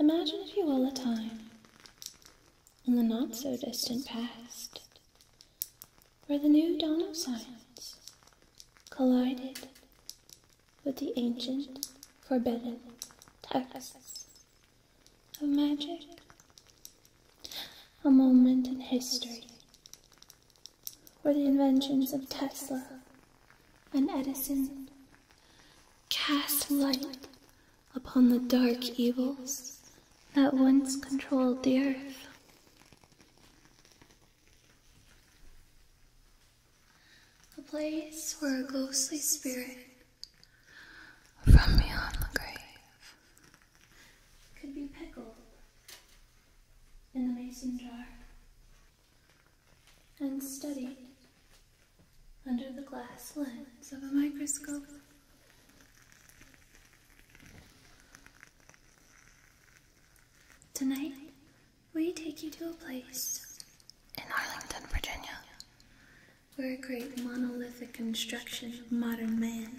Imagine, if you will, a time in the not so distant past where the new dawn of science collided with the ancient, forbidden texts of magic. A moment in history where the inventions of Tesla and Edison cast light upon the dark evils that once controlled the earth. A place where a ghostly spirit from beyond the grave could be pickled in the mason jar and studied under the glass lens of a microscope. Tonight, we take you to a place in Arlington, Virginia, where a great monolithic construction of modern man,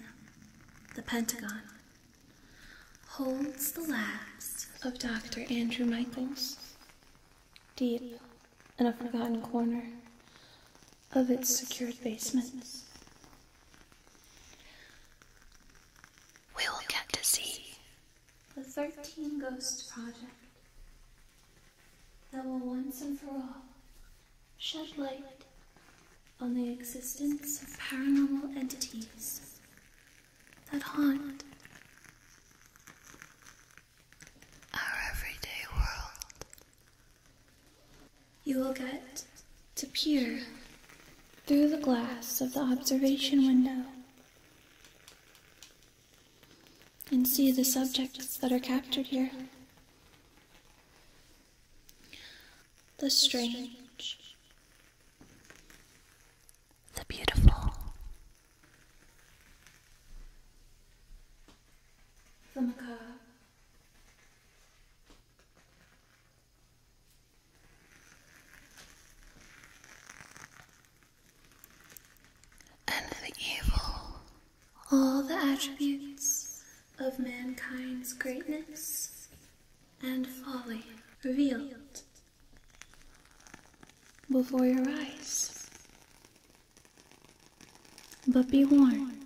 the Pentagon, holds the last of Dr. Andrew Michaels deep in a forgotten corner of its secured basement. We will get to see the Thirteen Ghosts Project that will once and for all shed light on the existence of paranormal entities that haunt our everyday world. You will get to peer through the glass of the observation window and see the subjects that are captured here. The strange, the beautiful, the macabre and the evil, all the attributes of mankind's greatness and folly revealed before your eyes. But be warned,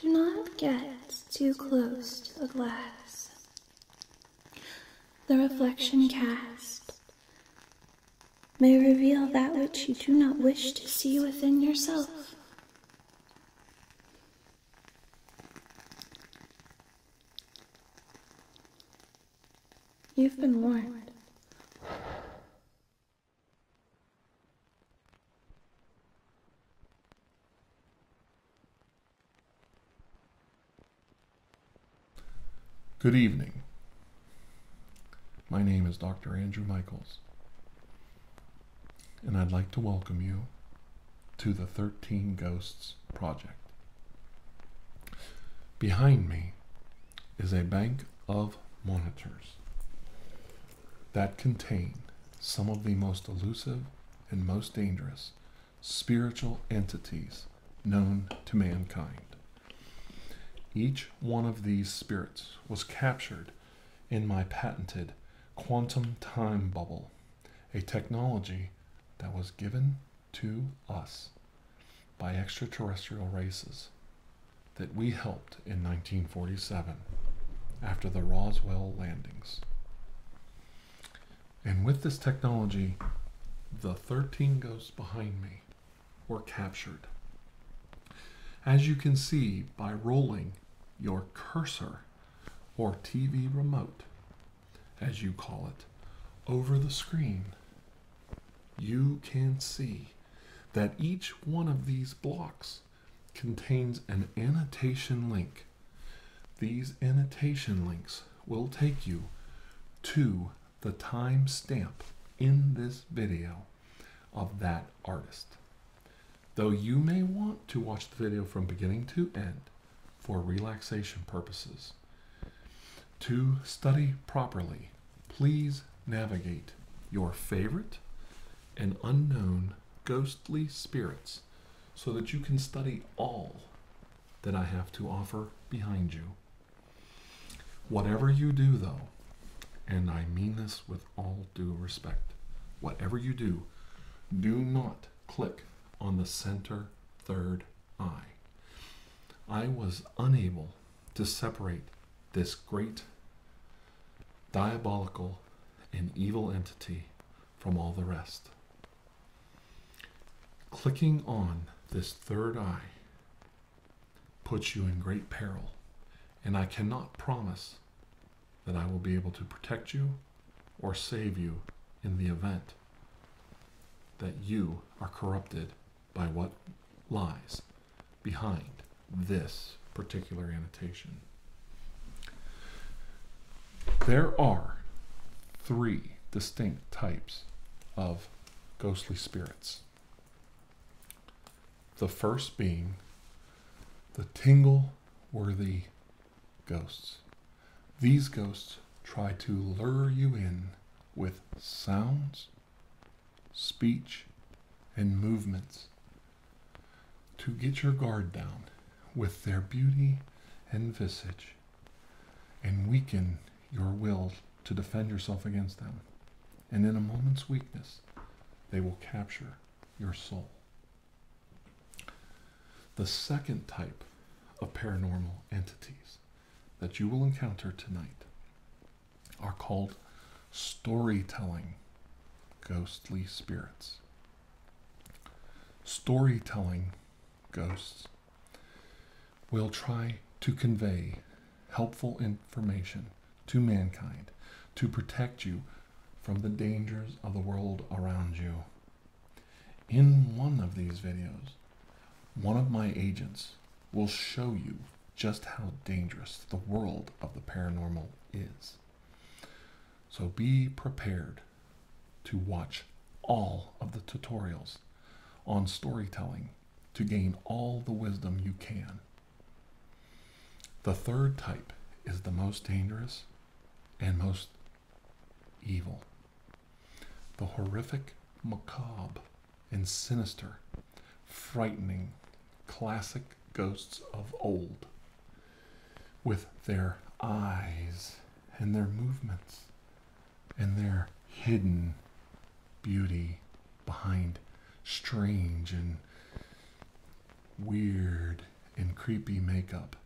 do not get too close to the glass, the reflection cast may reveal that which you do not wish to see within yourself. You've been warned. Good evening. My name is Dr. Andrew Michaels, and I'd like to welcome you to the 13 Ghosts Project. Behind me is a bank of monitors that contain some of the most elusive and most dangerous spiritual entities known to mankind. Each one of these spirits was captured in my patented quantum time bubble, a technology that was given to us by extraterrestrial races that we helped in 1947 after the Roswell landings. And with this technology, the 13 ghosts behind me were captured. As you can see by rolling your cursor or TV remote, as you call it, over the screen, you can see that each one of these blocks contains an annotation link. These annotation links will take you to the time stamp in this video of that artist. Though you may want to watch the video from beginning to end for relaxation purposes, to study properly, please navigate your favorite and unknown ghostly spirits so that you can study all that I have to offer behind you. Whatever you do, though, and I mean this with all due respect, whatever you do, do not click on the center third eye. I was unable to separate this great diabolical and evil entity from all the rest. Clicking on this third eye puts you in great peril, and I cannot promise that I will be able to protect you or save you in the event that you are corrupted by what lies behind this particular annotation. There are three distinct types of ghostly spirits. The first being the tingle worthy ghosts. These ghosts try to lure you in with sounds, speech, and movements to get your guard down with their beauty and visage and weaken your will to defend yourself against them. And in a moment's weakness, they will capture your soul. The second type of paranormal entities that you will encounter tonight are called storytelling ghostly spirits. Storytelling ghosts will try to convey helpful information to mankind to protect you from the dangers of the world around you. In one of these videos, one of my agents will show you just how dangerous the world of the paranormal is. So be prepared to watch all of the tutorials on storytelling to gain all the wisdom you can. The third type is the most dangerous and most evil. The horrific, macabre, and sinister, frightening classic ghosts of old, with their eyes and their movements and their hidden beauty behind strange and weird and creepy makeup.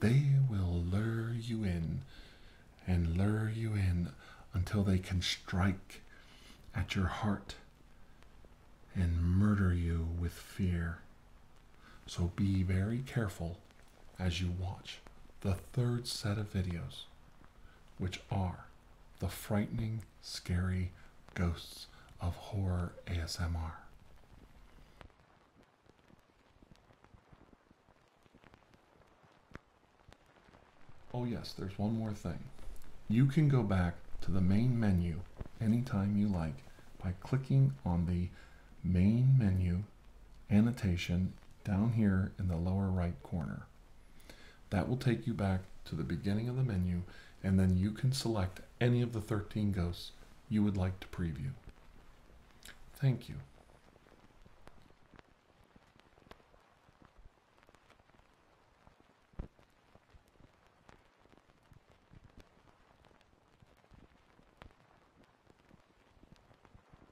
They will lure you in and lure you in until they can strike at your heart and murder you with fear. So be very careful as you watch the third set of videos which are the frightening, scary ghosts of horror ASMR. Oh, yes, there's one more thing. You can go back to the main menu anytime you like by clicking on the main menu annotation down here in the lower right corner. That will take you back to the beginning of the menu, and then you can select any of the 13 ghosts you would like to preview. Thank you.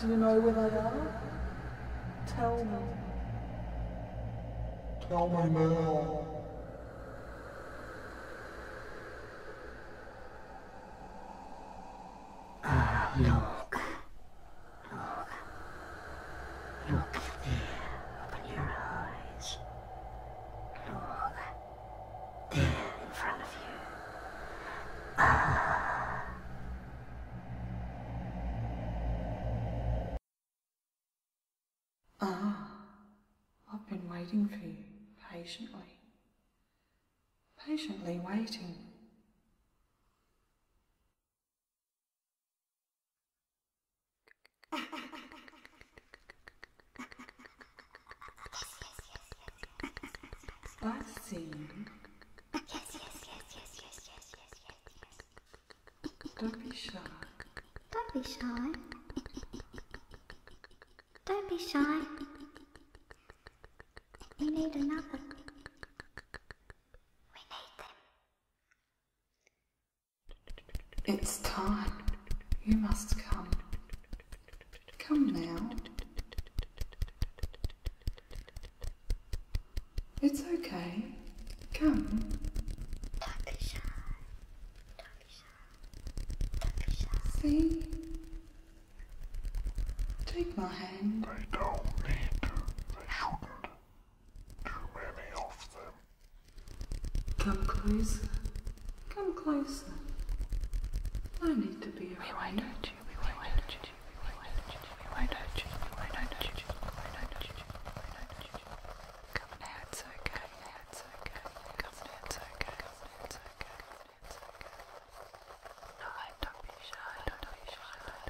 Do you know where they are? Tell me. Tell me now. Ah, look. Look. Look at Open your eyes. Look. There in front of you. Ah. ah. I've been waiting for you patiently. Patiently waiting. Passing. Yes, yes, yes, yes, yes, yes, yes, yes. Don't be shy. Don't be shy. Don't be shy. We need another. We need them. It's time. You must come. Come now. It's okay. Come. See? Take my hand. Too many of them. Come closer. Come closer. No need to be afraid. We won't hurt you. We won't hurt you. We won't hurt you. We won't hurt you. We won't hurt you. We won't hurt you. We won't hurt you. Come now, it's okay. Come now, it's okay. Come now, it's okay. Come now, it's okay. Come now, it's okay. No, don't be shy. Don't be shy.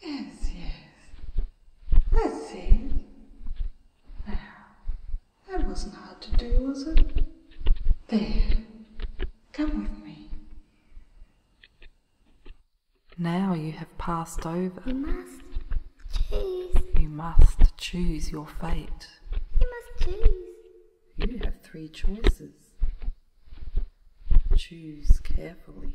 Yes, yes. Let's see. that wasn't hard to do, was it? There. Come with me. Now you have passed over. You must choose. You must choose your fate. You must choose. You have three choices. Choose carefully.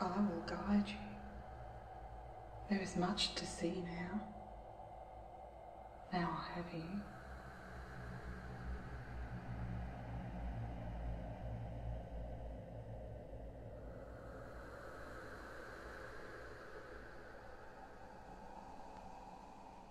I will guide you. There is much to see now. Now I have you.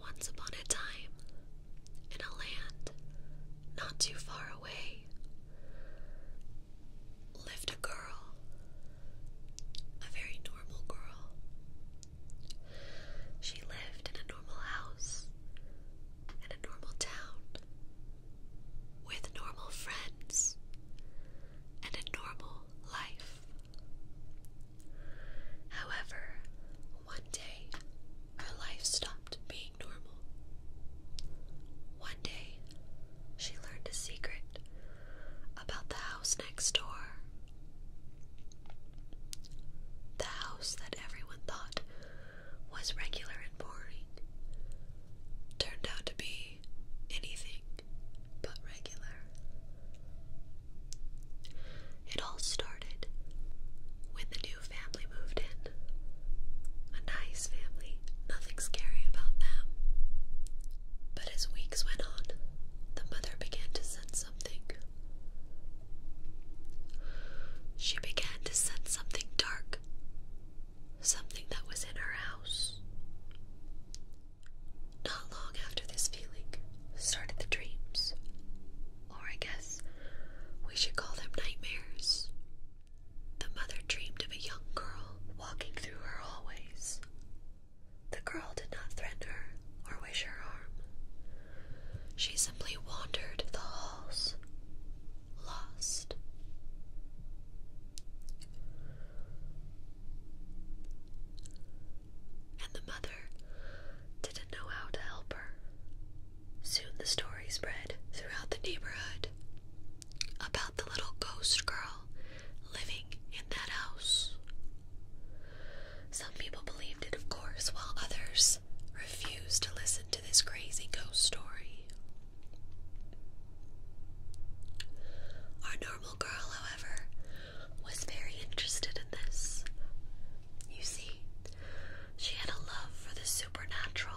Once upon a time, in a land not too far away, lived a girl, a very normal girl. She lived in a normal house, in a normal town, with normal friends, and a normal life. However, one day her life stopped being normal. One day she learned a secret about the house house next door. The house that everyone thought was regular and boring turned out to be anything but regular. It all started when the new family moved in. A nice family, nothing scary about them. But as weeks went on, the mother began to sense something. She began to sense something dark, something that was in her house. Not long after this feeling started the dreams, or I guess we should call them nightmares. The mother dreamed of a young girl walking through her hallways, the girl did not threaten her or wish her harm. She simply wandered the halls, lost. And the mother didn't know how to help her. Soon the story spread throughout the neighborhood about the little ghost girl living in that house. Some people believed it, of course, while others refused to listen to this crazy ghost story. Our normal girl, however, was very interested in this. You see, she had a love for the supernatural.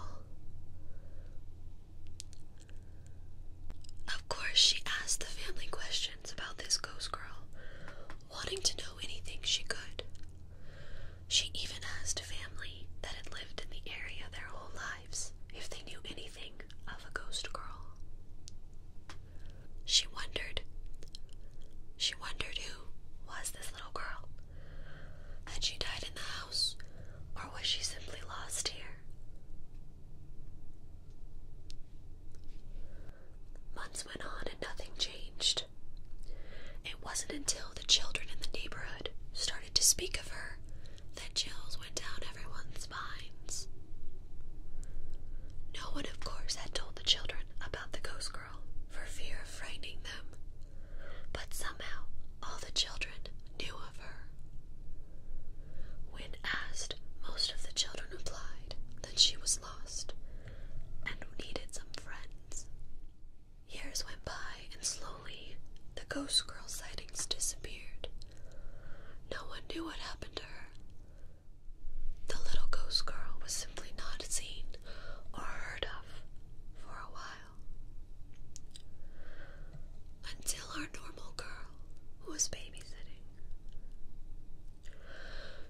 Of course, she asked the family questions about this ghost girl, wanting to know anything she could. She even asked family that had lived in the area their whole lives if they knew anything of a ghost girl. She wondered. She wondered who was this little girl. Had she died in the house, or was she simply lost here? Months went on and nothing changed. It wasn't until the children in the neighborhood started to speak of her that chills went down everyone's minds. No one, of course, had told the children about the ghost girl for fear of frightening them, but somehow all the children knew of her. When asked, most of the children replied that she was lost and needed some friends. Years went by, and slowly the ghost girl sightings disappeared. No one knew what happened to her. The little ghost girl was simply not seen or heard of for a while. Until our normal girl, who was babysitting,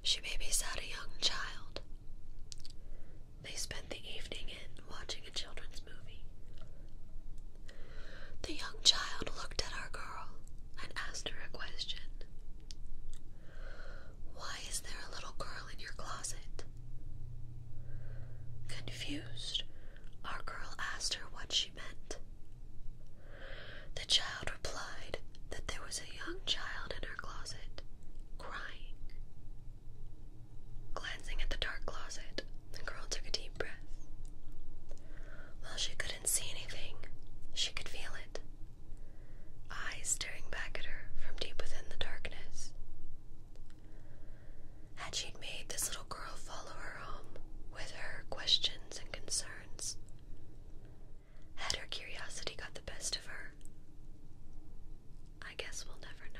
she babysat a young child. They spent the evening in watching a children's movie. The young child looked at our girl and asked her a question. Why is there a little girl in your closet? Confused, our girl asked her what she treatment. The child replied that there was a young child in her closet crying. Glancing at the dark closet, the girl took a deep breath. While she couldn't see anything, she could feel it. Eyes staring back at her from deep within the darkness. Had she made this little girl follow her home with her questions and concerns, had her curiosity got the best of her? I guess we'll never know.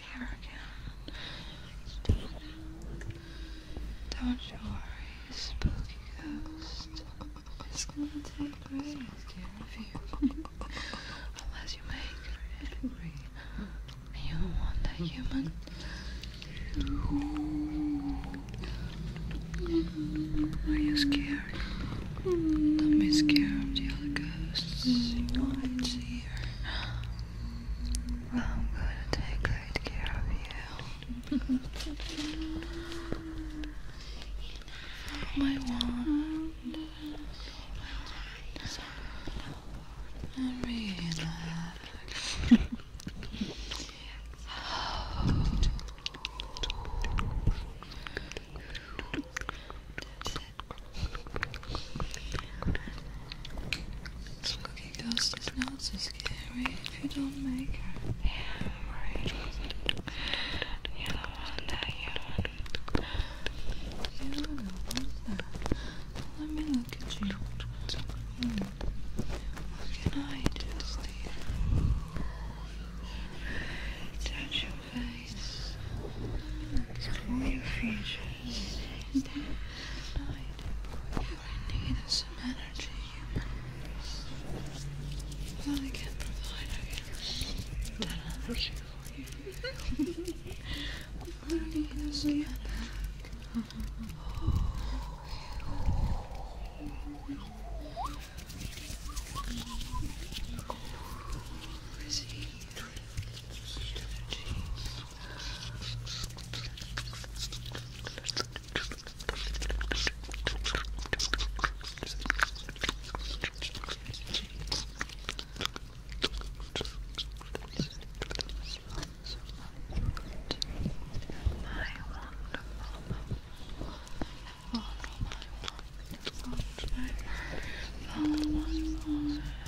Don't you worry, spooky ghost. It's gonna take care of you. Unless you make it angry. You want a human. Are you scared? Don't be scared of the other ghosts. You might see her. I'm gonna take great care of you. my wand. And relax. Oh. That's this cookie ghost is not so scary if you don't make her. Yeah, You don't want that, you don't You don't want that. Let me look at you. What can I do for Touch your face. Explore your features. I do. You need some energy, humans. Well, I can provide, I guess, that for you. I need is some energy. Receive wonderful, wonderful, wonderful, wonderful, wonderful,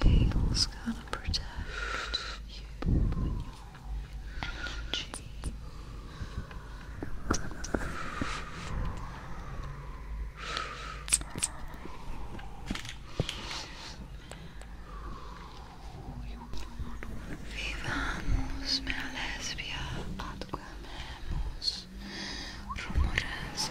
The veil's gonna protect you and your energy. Vivamos nella lesbia ad quememos rumores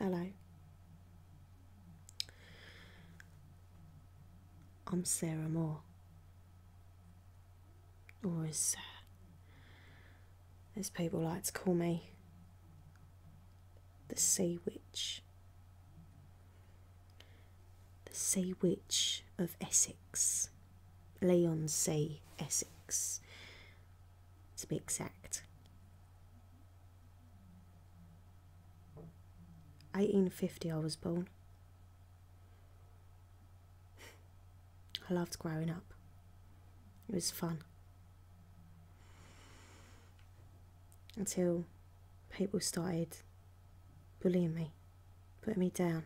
Hello. I'm Sarah Moore. Or as, uh, as people like to call me, the Say Witch. The Say Witch of Essex, Say Essex, to be exact. 1850 I was born. I loved growing up. It was fun. Until people started bullying me, putting me down.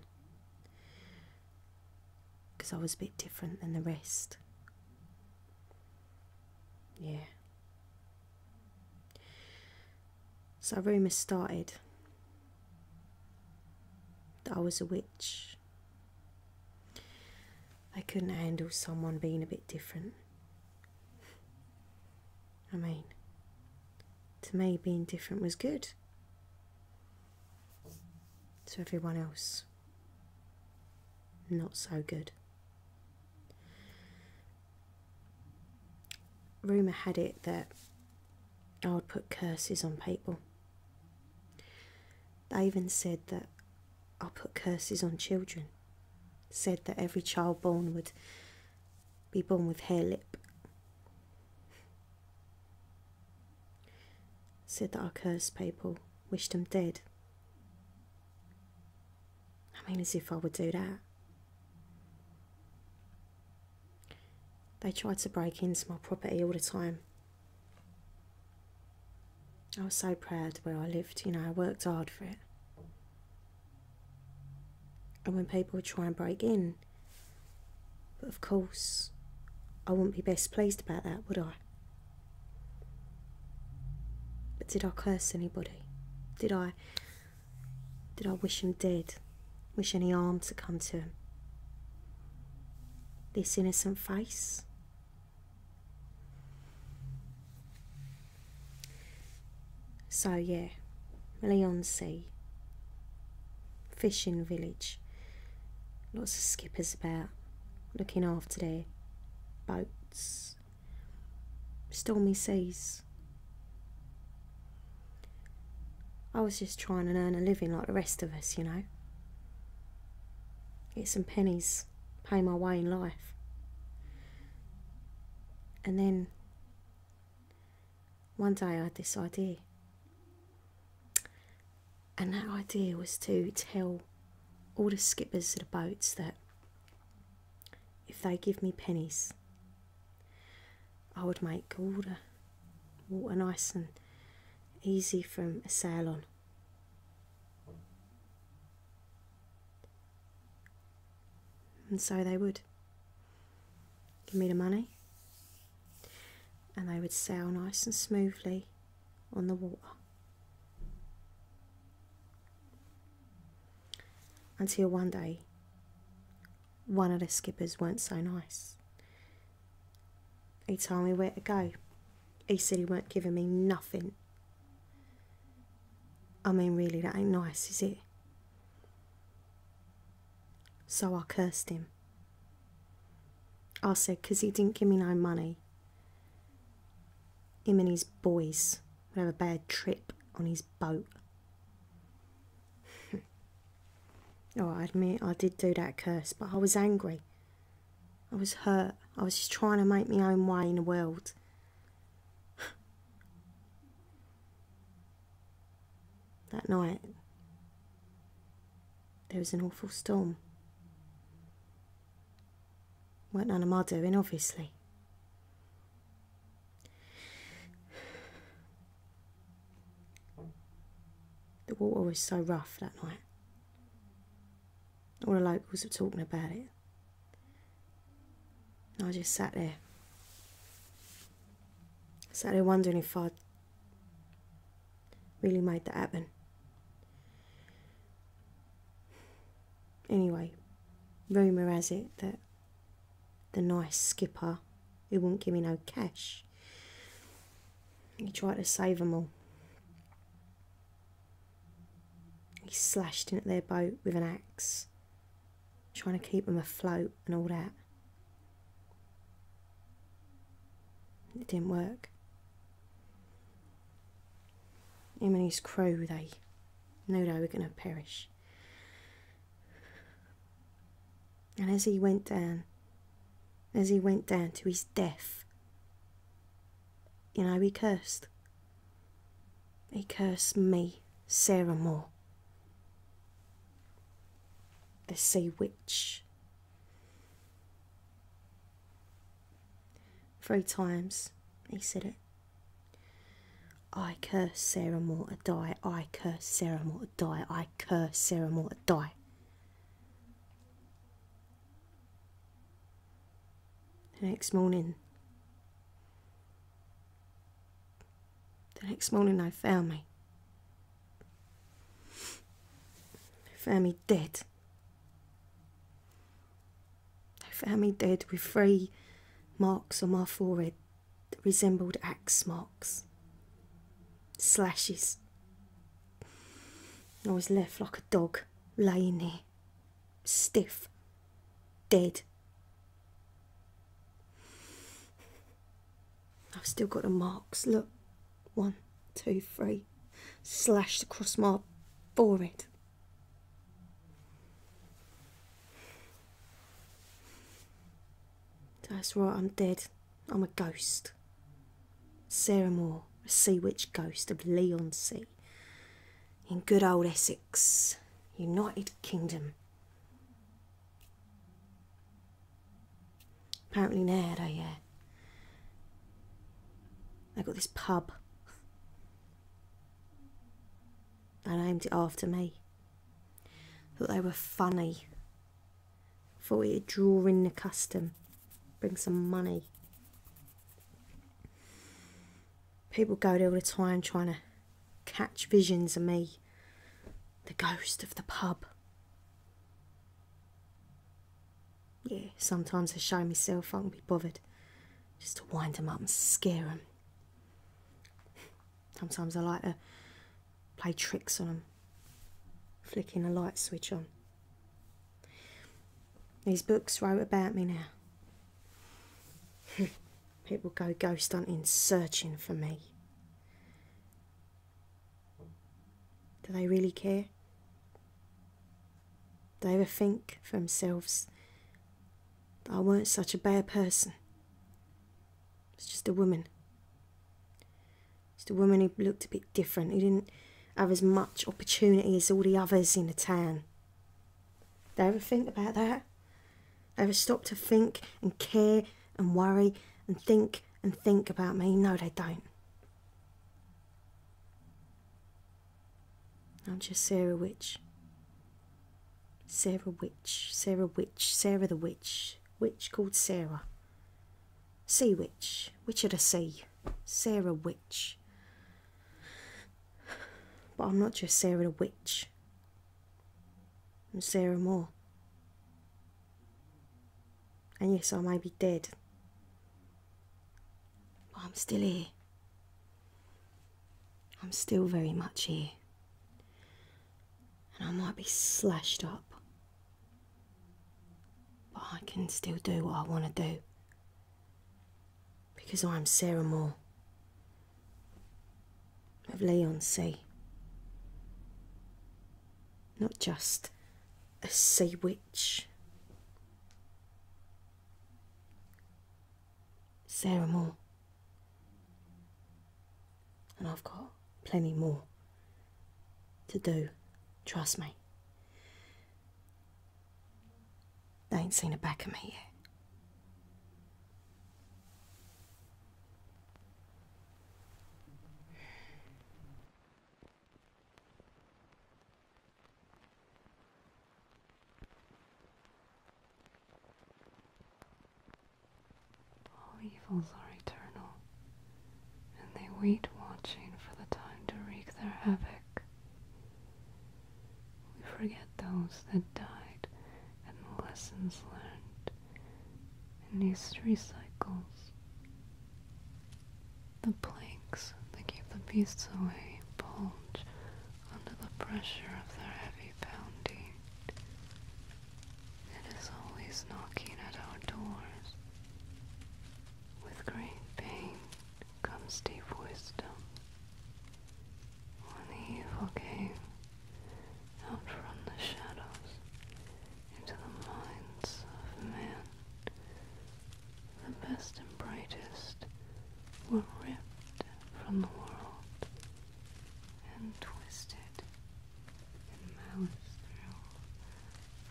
Because I was a bit different than the rest. Yeah. So rumours started that I was a witch. They couldn't handle someone being a bit different. I mean, to me, being different was good. To everyone else, not so good. Rumour had it that I would put curses on people. They even said that i put curses on children. Said that every child born would be born with hair lip. Said that I cursed people, wished them dead. I mean, as if I would do that. They tried to break into my property all the time. I was so proud where I lived, you know, I worked hard for it. And when people would try and break in, of course, I wouldn't be best pleased about that, would I? But did I curse anybody? Did I did I wish him dead? Wish any harm to come to him? This innocent face so yeah, Leon Sea, fishing village, lots of skippers about, looking after their boats, stormy seas. I was just trying to earn a living like the rest of us, you know. Get some pennies pay my way in life. And then one day I had this idea. And that idea was to tell all the skippers of the boats that if they give me pennies, I would make all the water nice and easy from a sail on. And so they would give me the money, and they would sail nice and smoothly on the water. Until one day, one of the skippers weren't so nice. He told me where to go. He said he weren't giving me nothing I mean, really, that ain't nice, is it? So I cursed him. I said, because he didn't give me no money. Him and his boys would have a bad trip on his boat. oh, I admit I did do that curse, but I was angry. I was hurt. I was just trying to make my own way in the world that night, there was an awful storm. Weren't none of my obviously. The water was so rough that night. All the locals were talking about it. I just sat there. Sat there wondering if I'd really made that happen. Anyway, rumour has it that the nice skipper who wouldn't give me no cash, he tried to save 'em all. He slashed in at their boat with an axe, trying to keep them afloat and all that. It didn't work. Him and his crew, they knew they were going to perish. And as he went down, as he went down to his death, you know, he cursed. They curse me, Sarah Moore, the sea witch. Three times he said it. I curse Sarah Moore to die. I curse Sarah Moore to die. I curse Sarah Moore to die. next morning, the next morning they found me. They found me dead. They found me dead with three marks on my forehead that resembled axe marks, slashes. I was left like a dog laying there, Stiff. Dead. I've still got a marks. Look. One, two, three. Slashed across my forehead. That's right, I'm dead. I'm a ghost. Sarah Moore, a sea witch ghost of Leon Sea in good old Essex. United Kingdom. Apparently now oh they yeah. Uh, got this pub. They named it after me. Thought they were funny. Thought we would draw in the custom. Bring some money. People go there all the time trying to catch visions of me, the ghost of the pub. Yeah, sometimes I show myself, I can be bothered just to wind them up and scare them. Sometimes I like to play tricks on them, flicking a light switch on. These books write about me now. People go ghost hunting searching for me. Do they really care? Do they ever think for themselves that I weren't such a bad person? It's just a woman. Just a woman who looked a bit different, who didn't have as much opportunity as all the others in the town. They ever think about that? They ever stop to think and care and worry and think and think about me? No, they don't. I'm just Sarah Witch. Sarah Witch, Sarah Witch, Sarah the Witch, witch called Sarah. Sea Witch, Witch of the Sea, Sarah Witch. But I'm not just Sarah the Witch, and Sarah Moore. And yes, I may be dead, but I'm still here. I'm still very much here. And I might be slashed up, but I can still do what I want to do because I am Sarah Moore of Leon C. Not just a sea witch. Sarah Moore. And I've got plenty more to do, trust me. They ain't seen the back of me yet. All evils are eternal, and they wait watching for the time to wreak their havoc. We forget those that died and the lessons learned, and history cycles. The planks that keep the beasts away bulge under the pressure of their heavy pounding. It is always knocking at our doors. With great pain comes deep wisdom. When evil came out from the shadows into the minds of men, the best and brightest were ripped from the world and twisted in malice through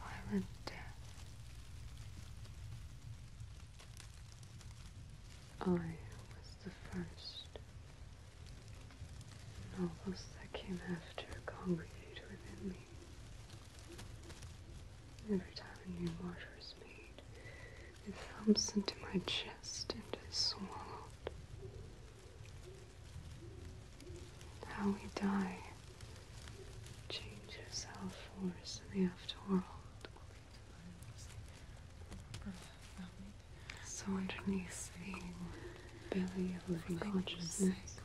violent death. I was the first, and all those that came after congregate within me. Every time a new mortar is made, it thumps into my chest and is swallowed. How we die changes our force in the afterworld. So underneath the belly of living consciousness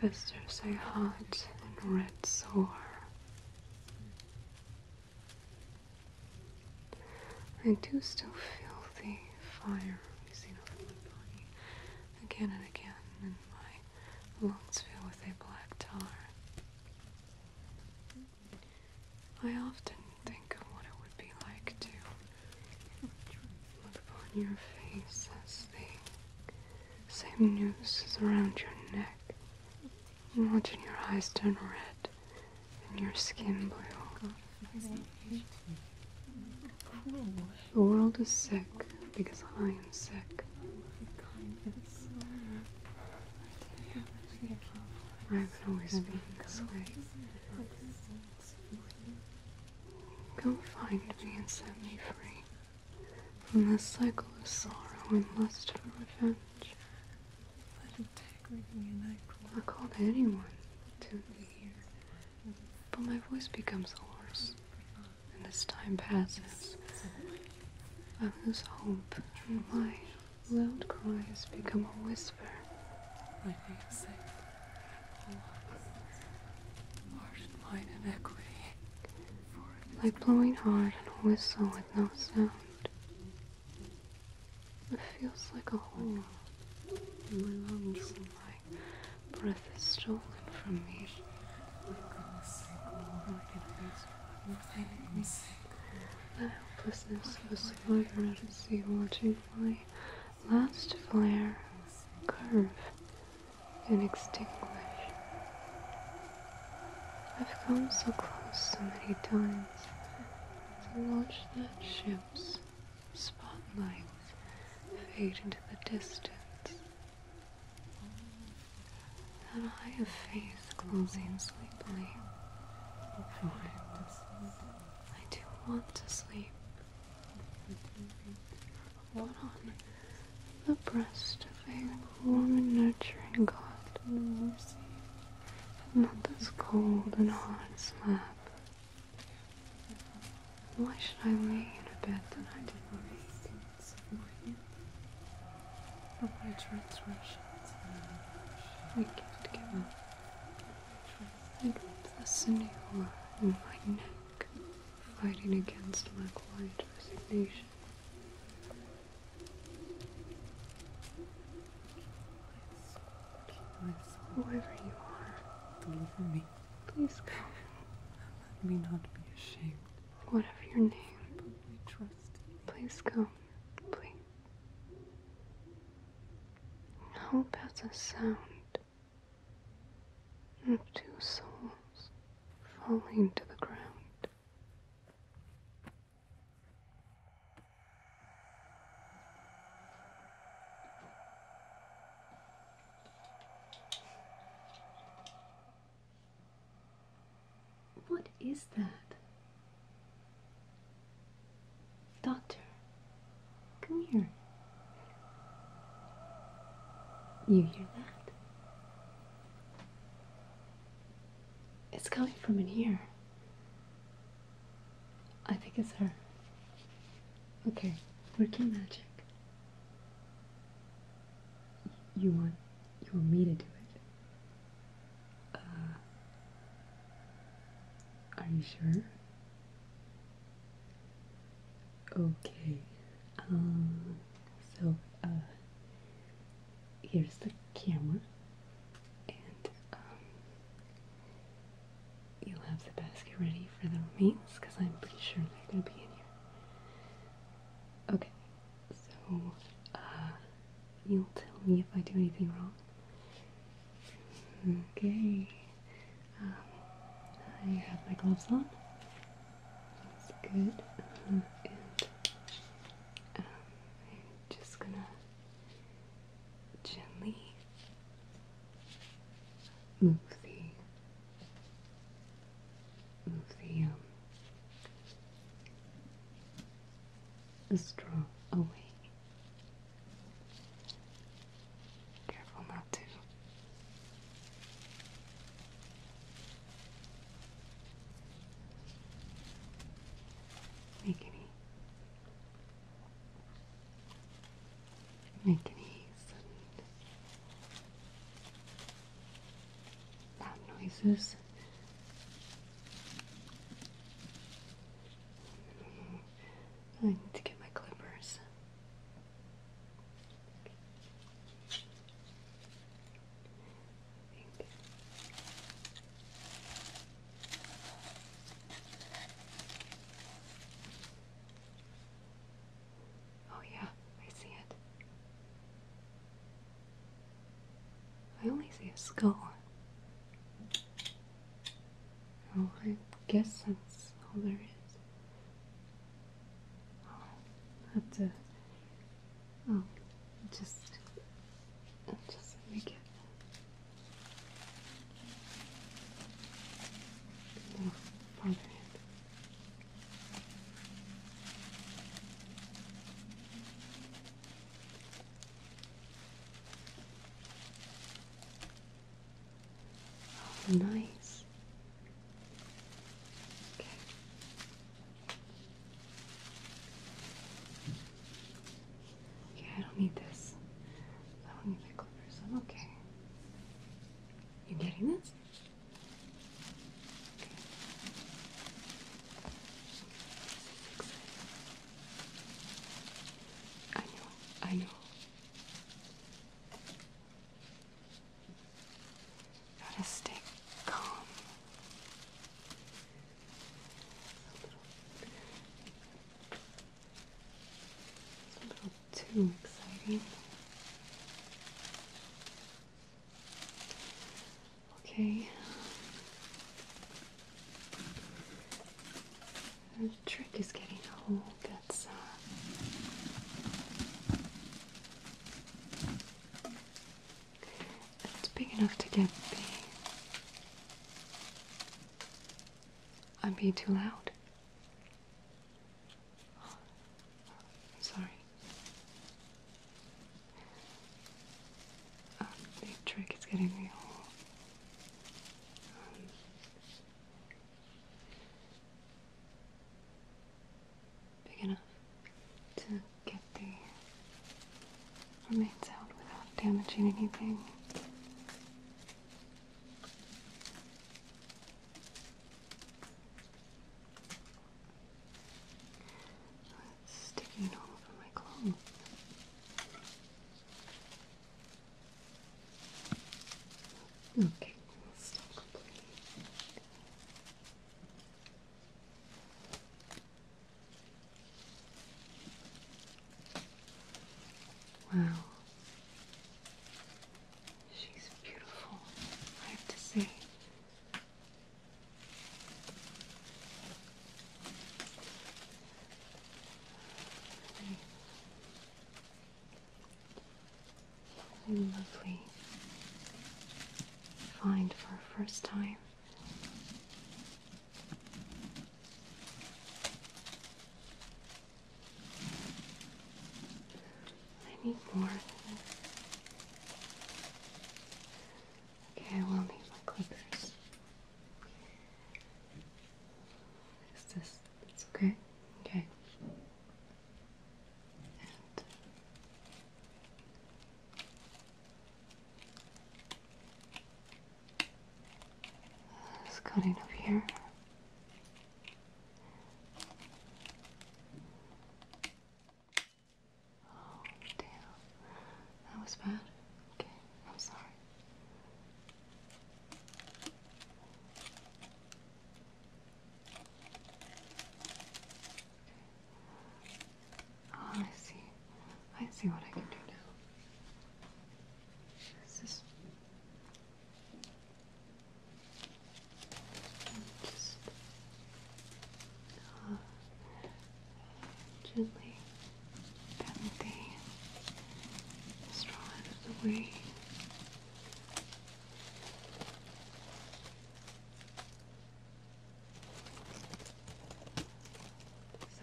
festers a hot and red sore. I do still feel the fire rising over my body again and again, and my lungs fill with a black tar. I often think of what it would be like to look upon your face as the same noose is around your neck, and watching your eyes turn red and your skin blue. The world is sick because I am sick. I can always be this way. Go find me and set me free from this cycle of sorrow and lust for revenge. Let him take I call to anyone to be here. But my voice becomes hoarse, and as time passes, I lose hope and life. Loud cries become a whisper. My name's sake, Lord and mine in equity. Like blowing hard on a whistle with no sound. It feels like a hole my lungs my breath is stolen from me. The helplessness of a slug out at sea watching my last flare curve and extinguish. I've come so close so many times to watch that ship's spotlight fade into the distance. That eye of faith closing sleepily. Find I do want to sleep. Hold on the breast of a warm and nurturing God and mercy, but not this cold and hard slap. Why should I lay in a bed that I did not make? Of my transgressions, I gift given. Try to fasten you in my neck, fighting against my quiet resignation. whoever you are, deliver me. Please go. Let me not be ashamed. Whatever your name, please trust. Please go. Please. Hope has a sound of two souls falling to the ground. What is that? Doctor, come here. You hear that? It's coming from in here. I think it's her. Okay, working magic. You want you want me to do it? Uh, are you sure? Okay. Um, so, uh, here's the camera, and um, you'll have the basket ready for the remains because I'm pretty sure they're gonna be in here. Okay, so, uh, You'll tell me if I do anything wrong. Okay. Um, I have my gloves on. That's good. Um, and um, I'm just gonna gently move the move the um the straw away. Careful not to. Make any make any loud noises. I need to get my clippers. Oh, yeah, I see it. I only see a skull. Well, I guess that's all there is. have to. Oh, just. Just make it. No, bother Oh, nice. Okay. Okay, I don't need this. I don't need the clippers. I'm okay. You getting this? I know, I know. Gotta stay calm. a little too exciting. Okay. The trick is getting a hole that's uh, that's big enough to get the. I'm being too loud. I'm sorry. Uh, the trick is getting the hole big enough to get the remains out without damaging anything. sticking all over my clothes. Okay, Wow. She's beautiful, I have to say lovely find for a first time. I need more. Okay, I will need clippers. Is this it's okay? Okay. And it's cutting up here. Oh damn. That was bad. Okay, I'm sorry. Oh, I see. I see what I can do now. This is just uh, gently and the straw out of the way.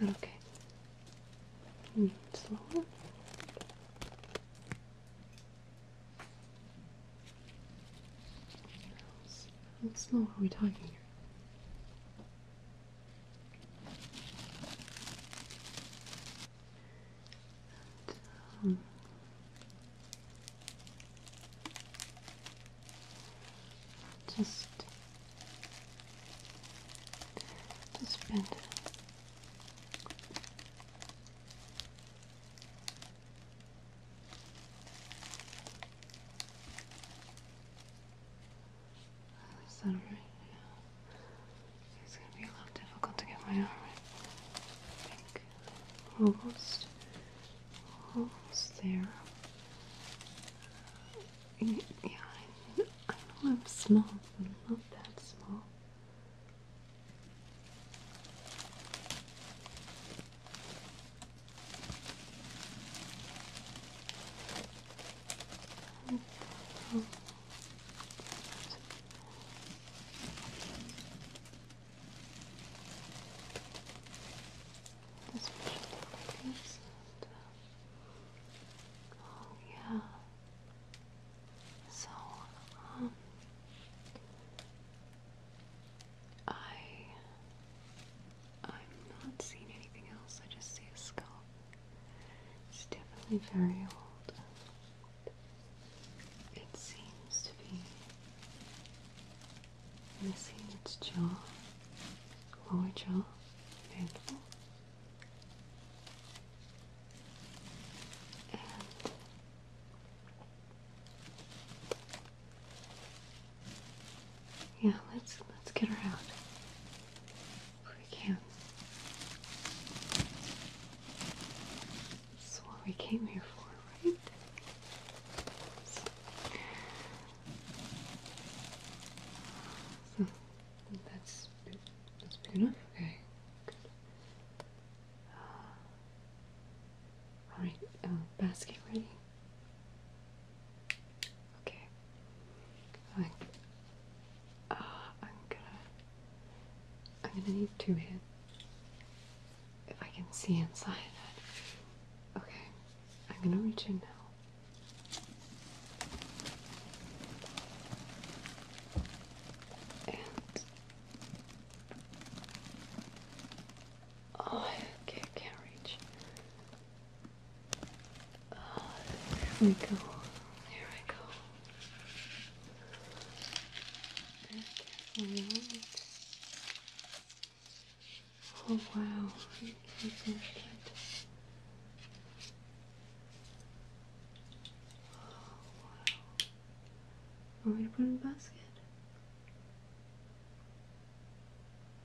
Is that okay? Mm, slower. How slow are we talking here? And, um, just just bend is that alright? It's gonna be a little difficult to get my arm in. I almost, almost there. Yeah, I, know I'm small, but not that small. Oh. Especially like Oh yeah. So um I I'm not seeing anything else, I just see a skull. It's definitely very old. It seems to be missing its jaw, lower jaw, mandible. yeah, let's let's get her out we can. That's what we came here for, right? Hmm, that's that's big enough. Uh, uh, okay. all right. basket ready. Okay. I uh, I'm gonna. I'm gonna need two hands If I can see inside it. Okay, I'm gonna reach in now. And. Oh, okay, I can't reach. Oh, there we go. There I go. Right. Oh, oh wow. Want me to put in a basket?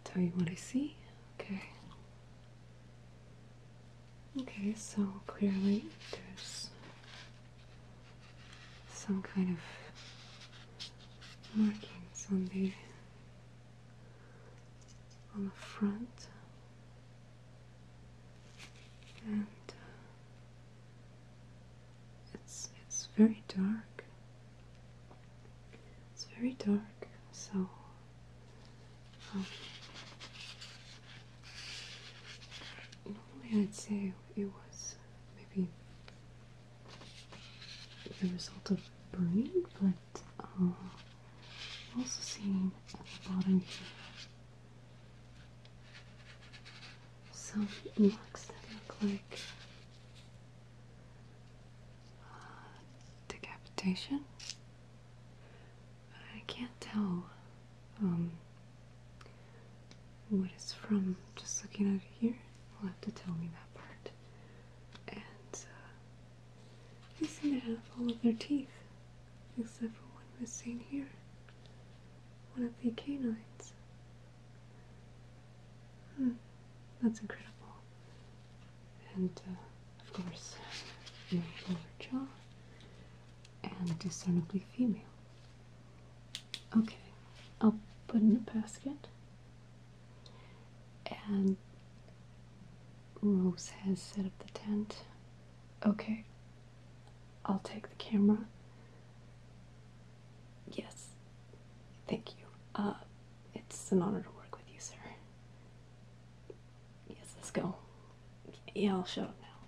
Tell you what I see? Okay. Okay, so clearly there's some kind of markings on the on the front and uh, it's it's very dark. It's very dark, so Oh. normally, I'd say it was maybe the result of burning, but I'm uh, also seeing at the bottom here some marks that look like uh, decapitation. I can't tell um, what it's from just looking at it here. You'll have to tell me that part. And uh, they seem to have all of their teeth, except for one missing here. One of the canines. Hmm, that's incredible. And uh, of course, my lower jaw and discernibly female. Okay, I'll put in a basket. And Rose has set up the tent. Okay, I'll take the camera. Yes, thank you. Uh, it's an honor to work with you, sir. Yes, let's go. Yeah, I'll show up now.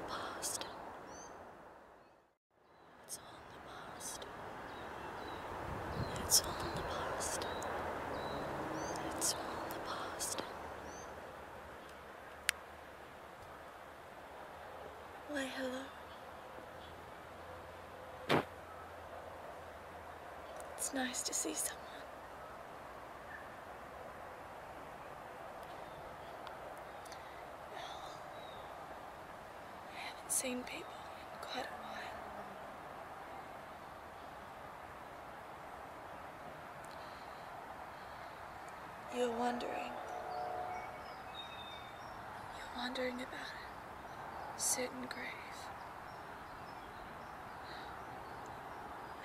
the past. It's all in the past. It's all in the past. It's all in the past. Why, hello. It's nice to see someone. I haven't seen people in quite a while. You're wondering. You're wondering about it. certain grave.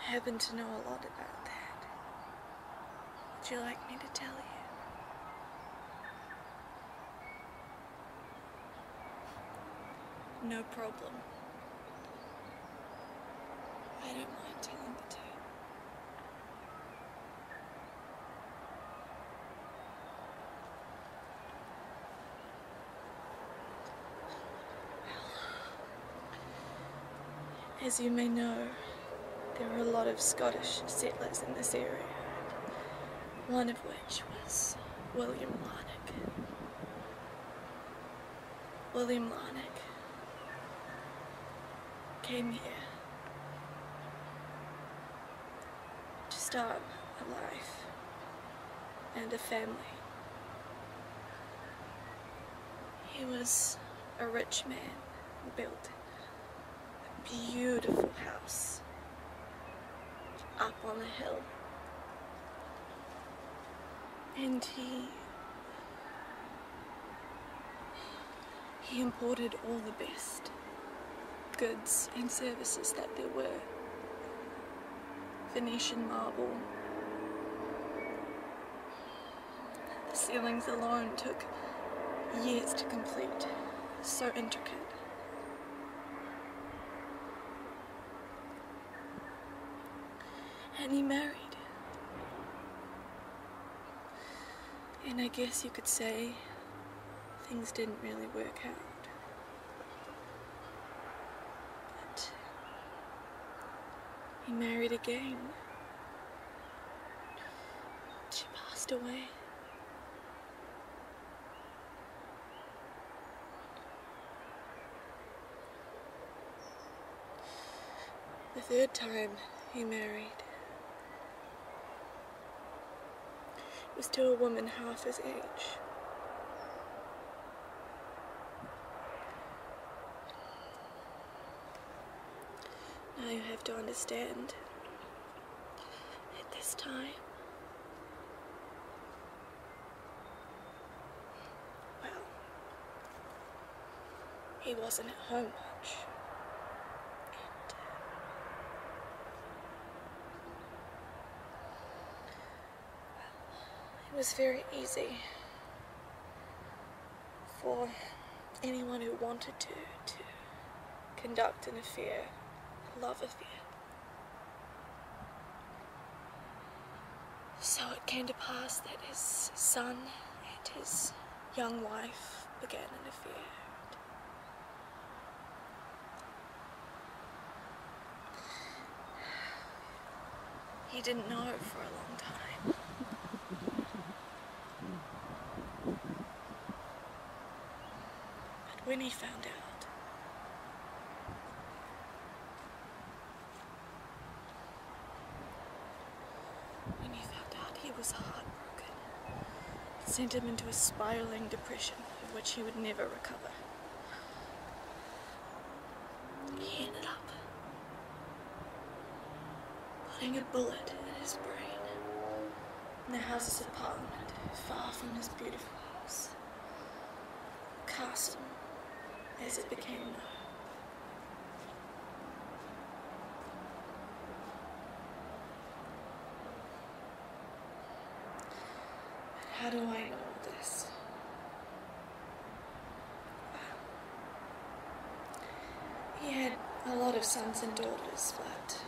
I happen to know a lot about that. Would you like me to tell you? No problem. I don't mind telling the tale. Well, as you may know, there were a lot of Scottish settlers in this area, one of which was William Larnock. William Larnock came here to start a life and a family. He was a rich man who built a beautiful house up on a hill. And he he imported all the best goods and services that there were. Venetian marble, the ceilings alone took years to complete, so intricate. And he married. And I guess you could say things didn't really work out. But he married again. She passed away. The third time he married. was to a woman half his age. Now you have to understand at this time, well, he wasn't at home much. Uh, well, it was very easy for anyone who wanted to, to conduct an affair, a love affair. So it came to pass that his son and his young wife began an affair. He didn't know it for a long time. But when he found out, when he found out, he was heartbroken. It sent him into a spiraling depression from which he would never recover. He ended up Putting a bullet in his brain. In the house's apartment, far from his beautiful house. Carson, as it became known. How do I know this? He had a lot of sons and daughters, but.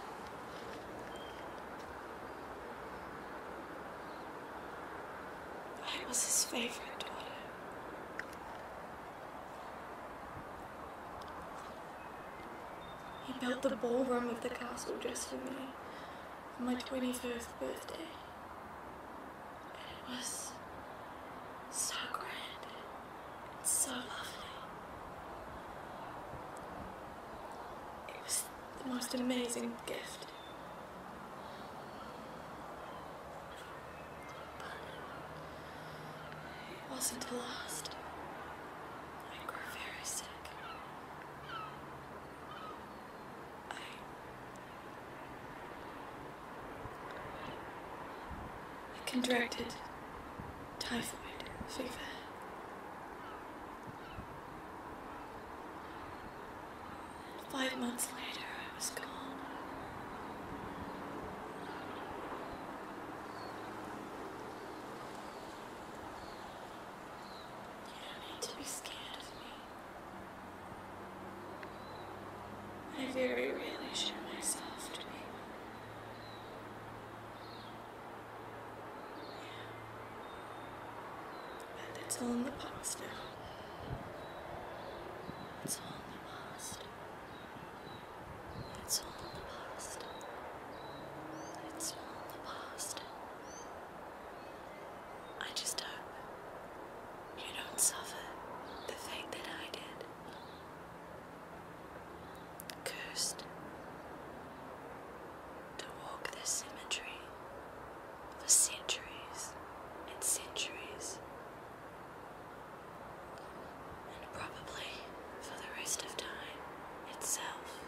I was his favorite daughter. He built the ballroom of the castle just for me on my twenty-first birthday. and It was so grand. It's so lovely. It was the most amazing gift. But it wasn't the last. I grew very sick. I contracted typhoid fever. Five months later, I was gone. You don't need to be scared of me. I very rarely show myself to be. Yeah. And it's all in the past now. It's all in the past. It's all in the past. It's all in the past. I just hope you don't suffer the fate that I did. Cursed to walk this cemetery for centuries and centuries, and probably for the rest of time itself.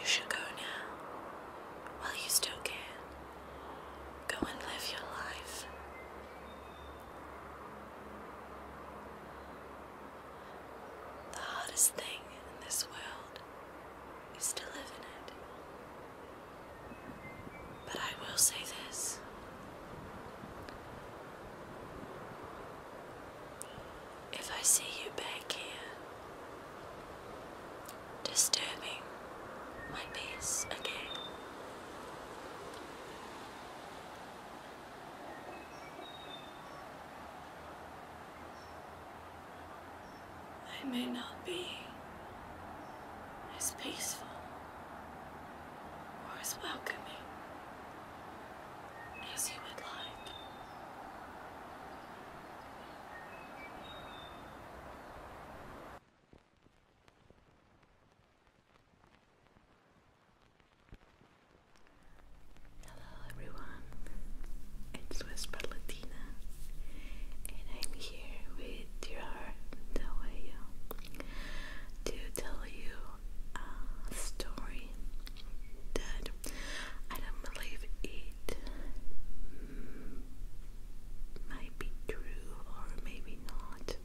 You should go now, while you still can. Go and live your life. The hardest thing in this world is to live in it. But I will say this if I see you back here, disturbing my peace again. I may not be as peaceful or as welcoming as you would like. Hello everyone, it's Whisper Latina and I'm here with your Dawayo to tell you a story did. I don't believe it might be true or maybe not,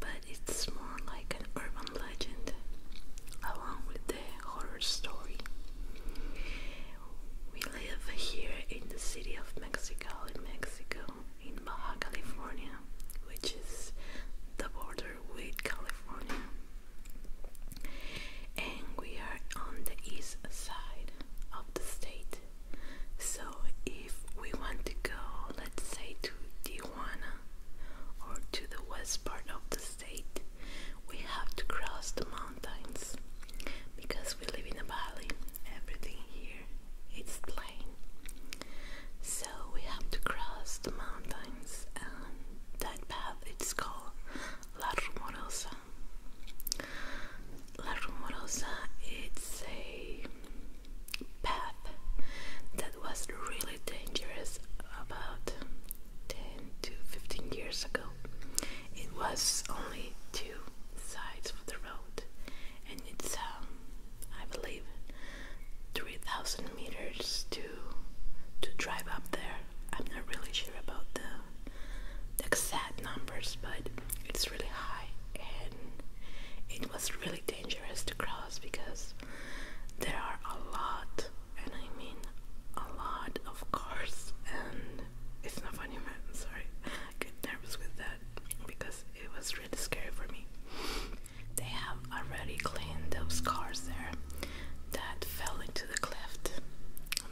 but it's more like an urban legend along with the horror story. We live here in the city of Mexico, in Mexico, in Baja California, which is the border Riverwood, California. And we are on the east side of the state. So if we want to go, let's say to Tijuana or to the west part of the state, we have to cross the mountains because we live in a valley. Everything here it's plain. So we have to cross the mountains that path it's called La Rumorosa. La Rumorosa it's a path that was really dangerous about 10 to 15 years ago. It was only two sides of the road and it's um, I believe 3,000 meters to to drive up there I'm not really sure about the, exact numbers, but it's really high, and it was really dangerous to cross because there are a lot, and I mean a lot of cars, and it's not funny, man. Sorry, I get nervous with that because it was really scary for me. They have already cleaned those cars there that fell in the cleft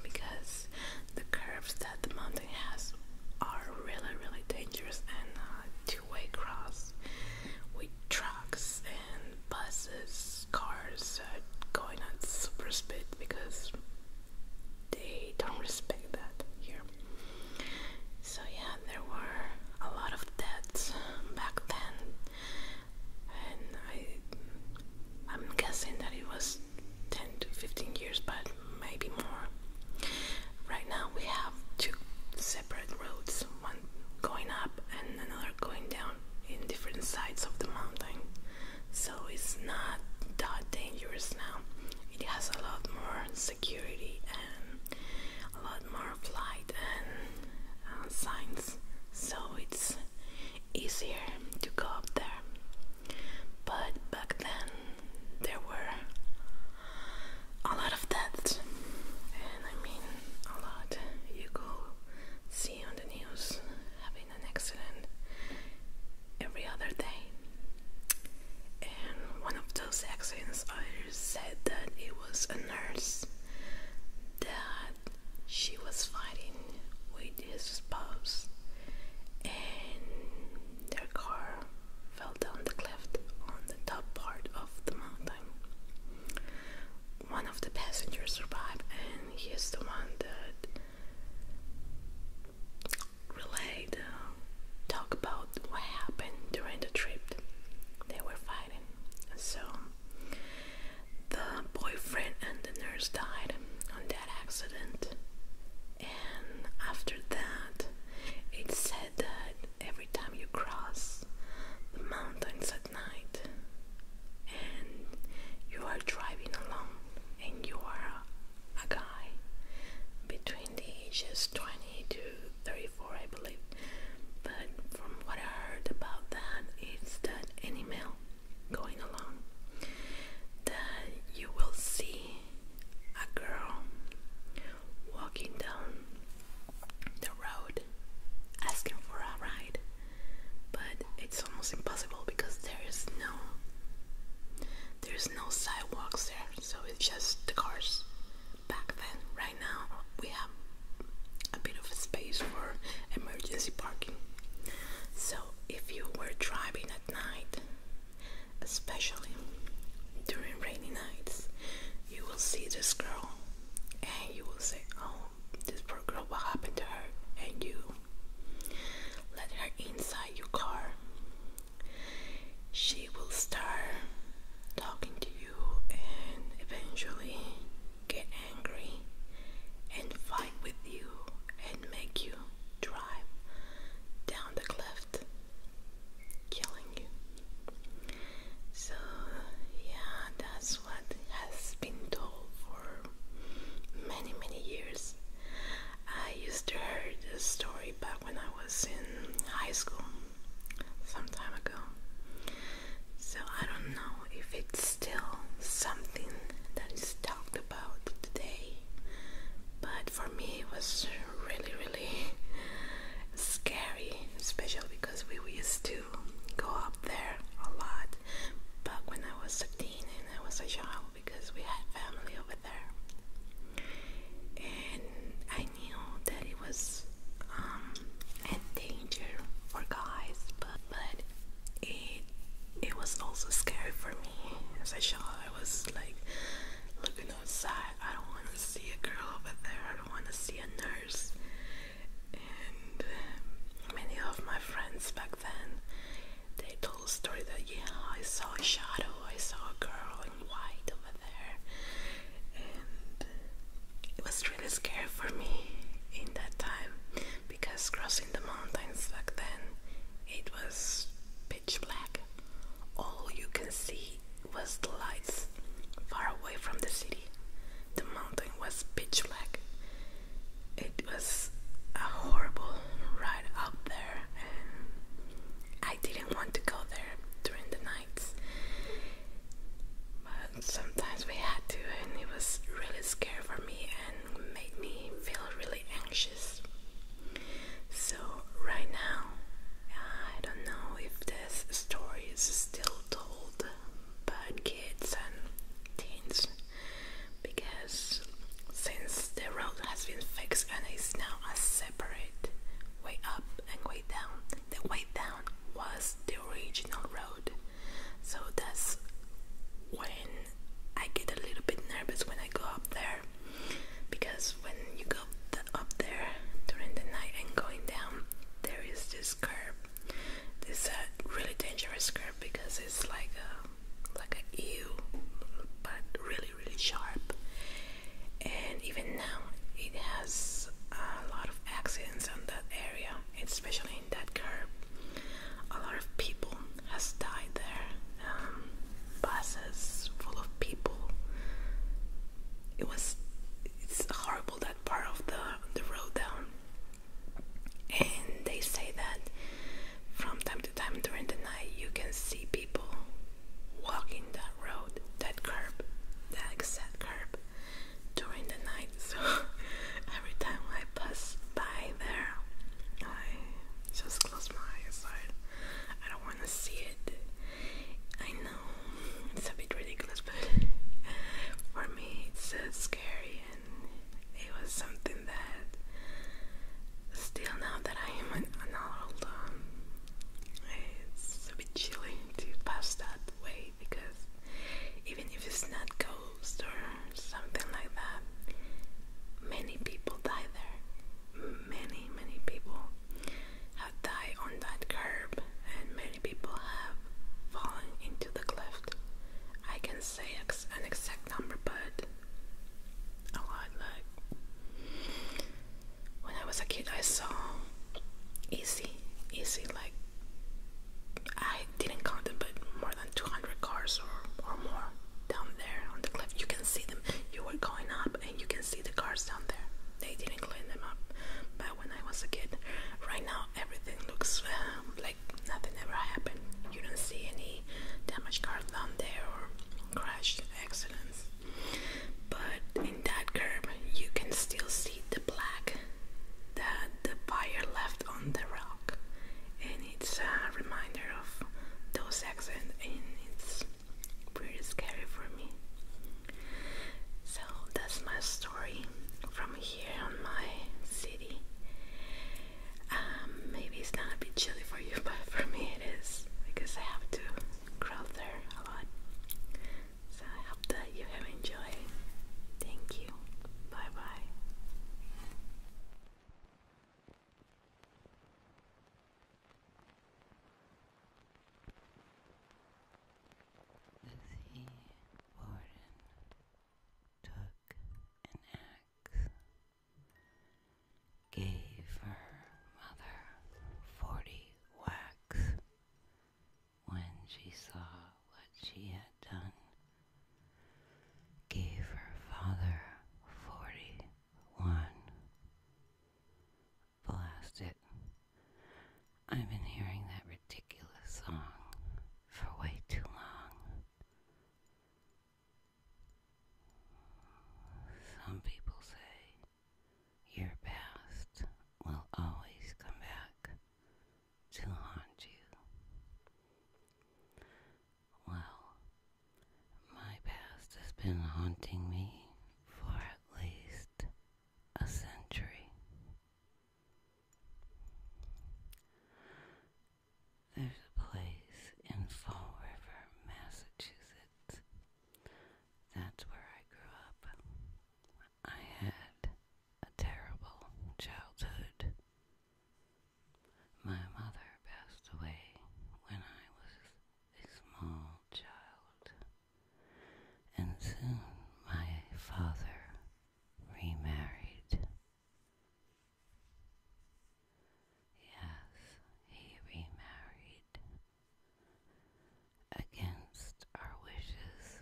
because the curves that the mountain has are really really dangerous and uh, two-way cross with trucks and buses, cars going at super speed because they don't respect that here. So yeah, there were a lot of deaths back then and I am guessing that it was 10 to 15 years but maybe more. Right now we have two separate roads, one going up and another going down in different sides of the mountain. So it's not that dangerous now. It has a lot more security and a lot more flight and uh, signs. So it's easier to go up there. But back then there were a lot of deaths, and I mean a lot. You go see on the news having an accident every other day. And one of those accidents, I said that it was a nurse that she was fighting with his spouse and their car fell down the cliff on the top part of the mountain. One of the passengers survived and he is the one that relayed uh, talk about what happened during the trip they were fighting. So the boyfriend and the nurse died on that accident. And after that, it's said that every time you cross the mountains at night and you are driving alone, and you are a guy between the ages 20 to 34, I believe. But from what I heard about that, it's that any male going along that you will see a girl walking down the road asking for a ride, but it's almost impossible because there is no there's no sidewalks there, so it's just the cars. Back then, right now we have a bit of space for emergency parking. So, if you were driving at night, especially during rainy nights, you will see this girl and you will say, Oh, this poor girl, what happened to her? And you let her inside your car. She will start talking to you, and eventually get angry and fight with you and make you drive down the cliff, killing you. So, yeah, that's what has been told for many, many years. I used to hear this story back when I was in high school some time ago. So I don't know if it's still something that is talked about today, but for me it was really, really scary, Special because we used to go up there a lot but when I was 13 and I was a child because we had family over there. And I knew that it was um, danger for guys, but it it was also scary for me as a child. I was like looking outside. I don't want to see a girl over there. I don't want to see a nurse. And um, many of my friends back then, they told a story that yeah, I saw a shadow. I saw a girl in white over there, and it was really scary for me in that time because crossing the mountains back then it was pitch black. All you can see was the lights far away from the city. The mountain was pitch black. It was a horrible ride up there, and I didn't want to go there during the nights. But sometimes we had to, and it was really scary for me. And made me feel really anxious. So, right now, I don't know if this story is still told by kids and teens because since the road has been fixed and is now a separate way up and way down, the way down was the original road so that's when I get a little bit nervous when I go up there because when you go up there during the night and going down there is this curb. this a really dangerous curb because it's like a like a U but really really sharp and even now it has a lot of accidents on that area especially in that curb a lot of people has died there. Um, buses full of people. It was it's horrible that part of the the road down. And they say that from time to time during the night you can see people walking that road, that curb, that exact curb during the night. So every time I pass by there. I just closed my eyes. I, don't want to see it. I know it's a bit ridiculous, but for me it's uh, scary, and it was something that still now that I am an, adult, um, it's a bit chilly to pass that way because even if it's not cold or something like that. Many people die there. Many, many people have died on that curb, and many people have fallen into the cleft. I can say ex an exact number, but a lot. Like when I was a kid, I saw easy, easy, like I didn't count them, but more than 200 cars or, or more down there on the cliff. You can see them. You were going up and you can see the cars down there. They didn't clean them up. But when I was a kid, right now everything looks um, like nothing ever happened. You don't see any damaged cars down there or crash accidents. But in that curb, you can still see the black that the fire left on the road and it's a reminder of those accidents, and it's pretty scary for me. So that's my story from here on my city. Um, maybe it's not a bit chilly for you, but for me it is because I have to crawl there a lot. So I hope that you have enjoyed. Thank you. Bye bye. The warden took an axe, gave her mother forty whacks when she saw what she had done gave her father forty one. Blast it. I've been hearing that ridiculous song for way too long. Some people say your past will always come back, to haunt you. Well, my past has been haunting me for at least a century. There's a place in Fall River, Massachusetts. That's where I grew up. I had a terrible childhood. My mother passed away when I was a small child, and soon my father remarried. Yes, he remarried against our wishes.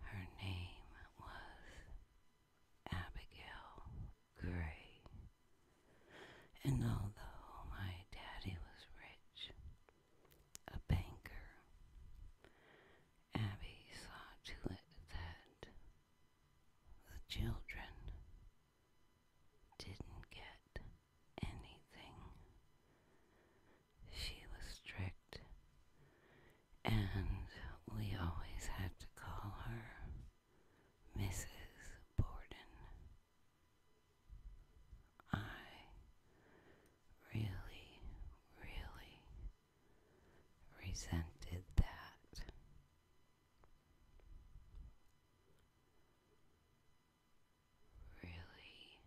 Her name was Abigail Gray. And although my daddy was rich, a banker, Abby saw to it that the children didn't get anything. She was strict, and we always had to call her Mrs. Borden. I really, really resented that. Really,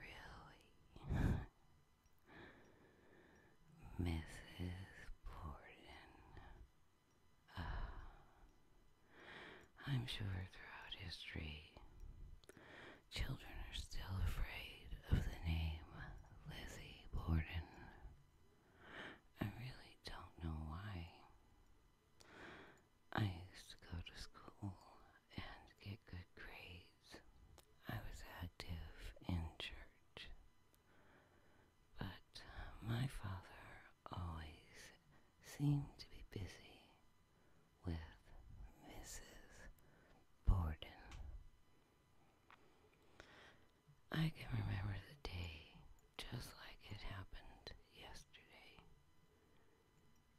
really Mrs. Borden. Ah, I'm sure throughout history, children are still afraid of the name Lizzie Borden. I really don't know why. I used to go to school and get good grades. I was active in church, but uh, my father always seemed to be busy with Mrs. Borden. I can remember the day just like it happened yesterday.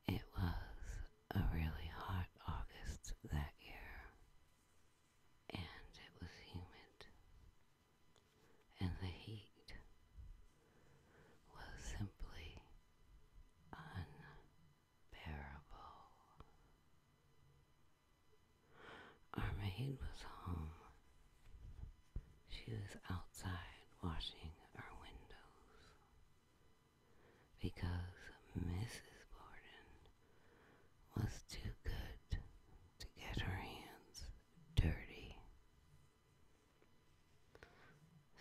It was a really hot August that year, and it was humid, and the heat was simply unbearable. Our maid was home. She was outside washing our windows because Mrs. Borden was too good to get her hands dirty.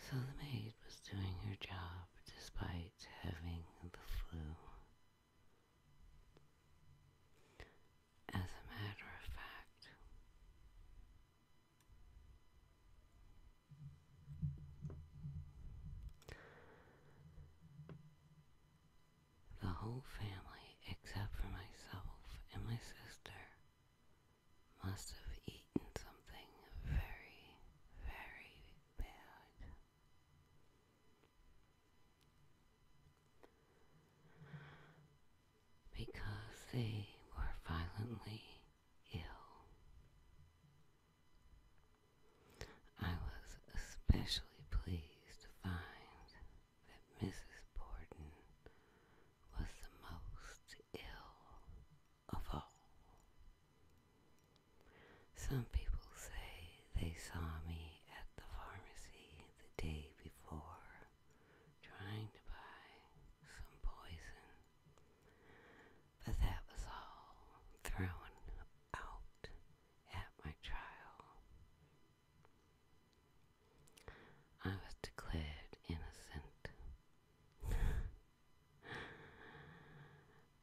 So the maid was doing her job despite having the flu. As a matter of fact, the whole family, except for myself and my sister, must have eaten something very, very bad. Because they were violently ill. I was especially pleased to find that Mrs. Borden was the most ill of all. Some people say they saw me at the pharmacy the day before trying to buy some poison but that was all thrown out at my trial. I was declared innocent.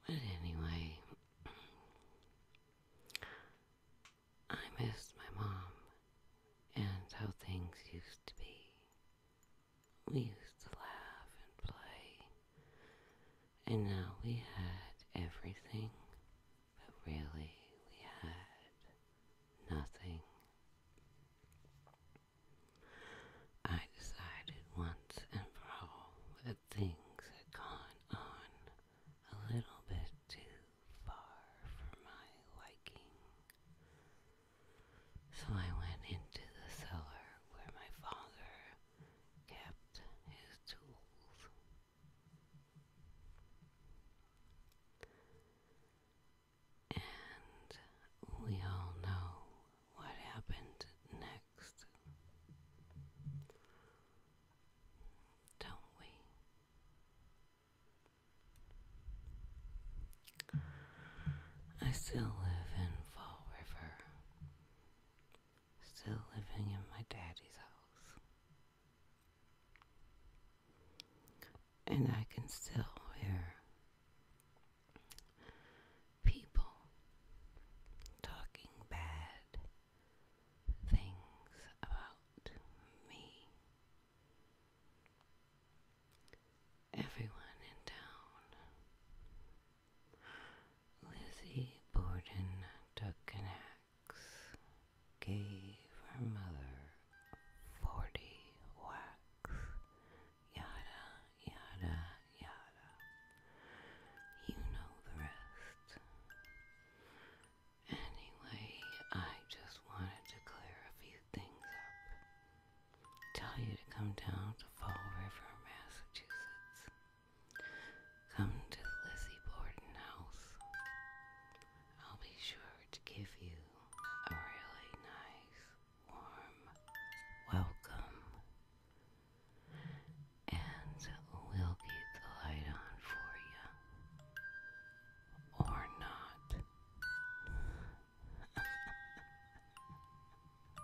but anyway, I missed my mom and how things used to be. We used to laugh and play. And now we had everything, but really we had nothing. I decided once and for all that things had gone on a little bit too far for my liking. So I went into the cellar where my father kept his tools. And we all know what happened next, don't we? I still live in Fall River, still living in my daddy's house. And I can still hear people talking bad things about me. Everyone in town Lizzie Borden took an axe, gave her mother forty whacks, yada, yada, yada. You know the rest. Anyway, I just wanted to clear a few things up. Tell you to come down to Fall River, Massachusetts. Come to the Lizzie Borden house. I'll be sure to give you a really nice, warm welcome. And we'll keep the light on for you. Or not.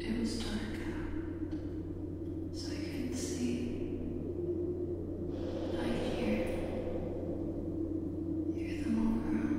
It was dark out, so I couldn't see. I could hear, hear them all around.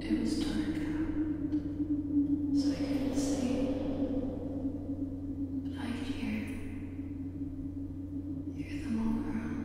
It was dark out, so I couldn't see. But I could hear, hear them all around.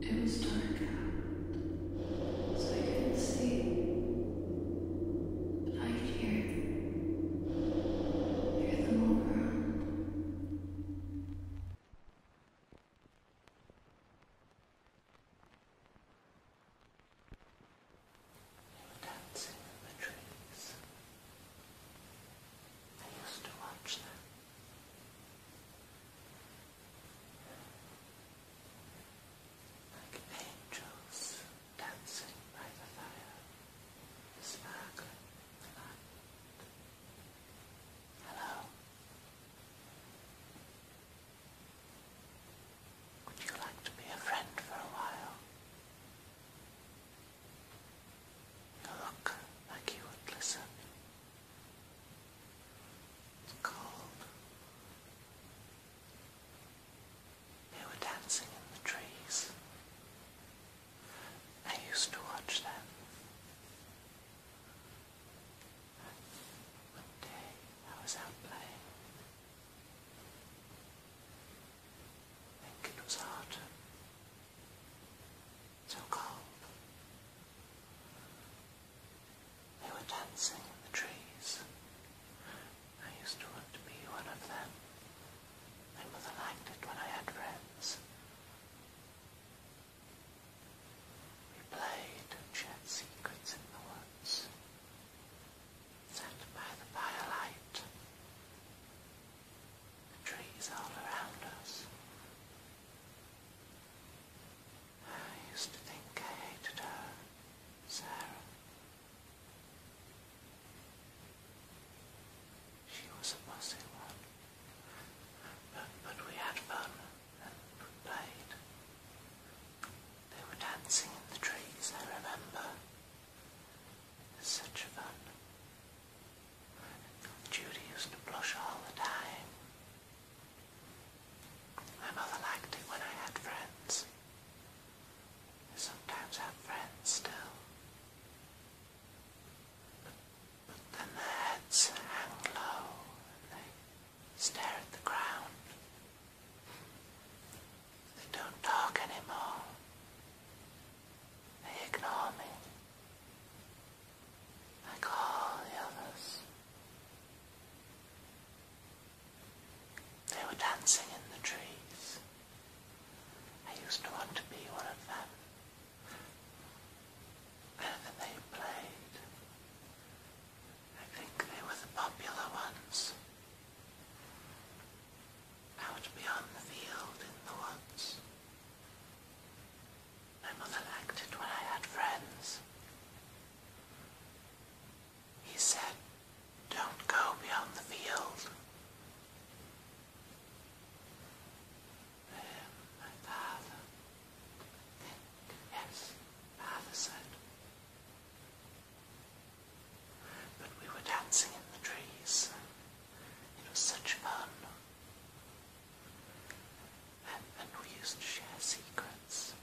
It was dark out, so I couldn't see, but I could hear, hear them all around. Dancing in the trees. I used to watch them. Like angels dancing by the fire, sparkling with Hello. Would you like to be a friend for a while? You look like you would listen. It's cold. They were dancing in the trees. I used to watch them. One day I was out playing. I it was autumn so cold. They were dancing in the trees. I used to want to be one of them. My mother liked it when I had friends. We played and shared secrets in the woods. Sat by the firelight. The trees all around us I used to think I hated her, Sarah. She was a bossy one, but, but we had fun and we played. They were dancing in the trees, I remember. It was such fun. Judy used to blush all the time. My mother liked it when I had friends. I sometimes have friends still. But, but then their heads hang low and they stare at the ground. They don't talk anymore. They ignore me like all the others. They were dancing in the trees. I used to want to be one of them. And they played. I think they were the popular ones. Out beyond the field in the woods. My mother liked it when I had friends. He said, don't go beyond the field. Then my father, yes, father said. But we were dancing in the trees. It was such fun. And, we used to share secrets.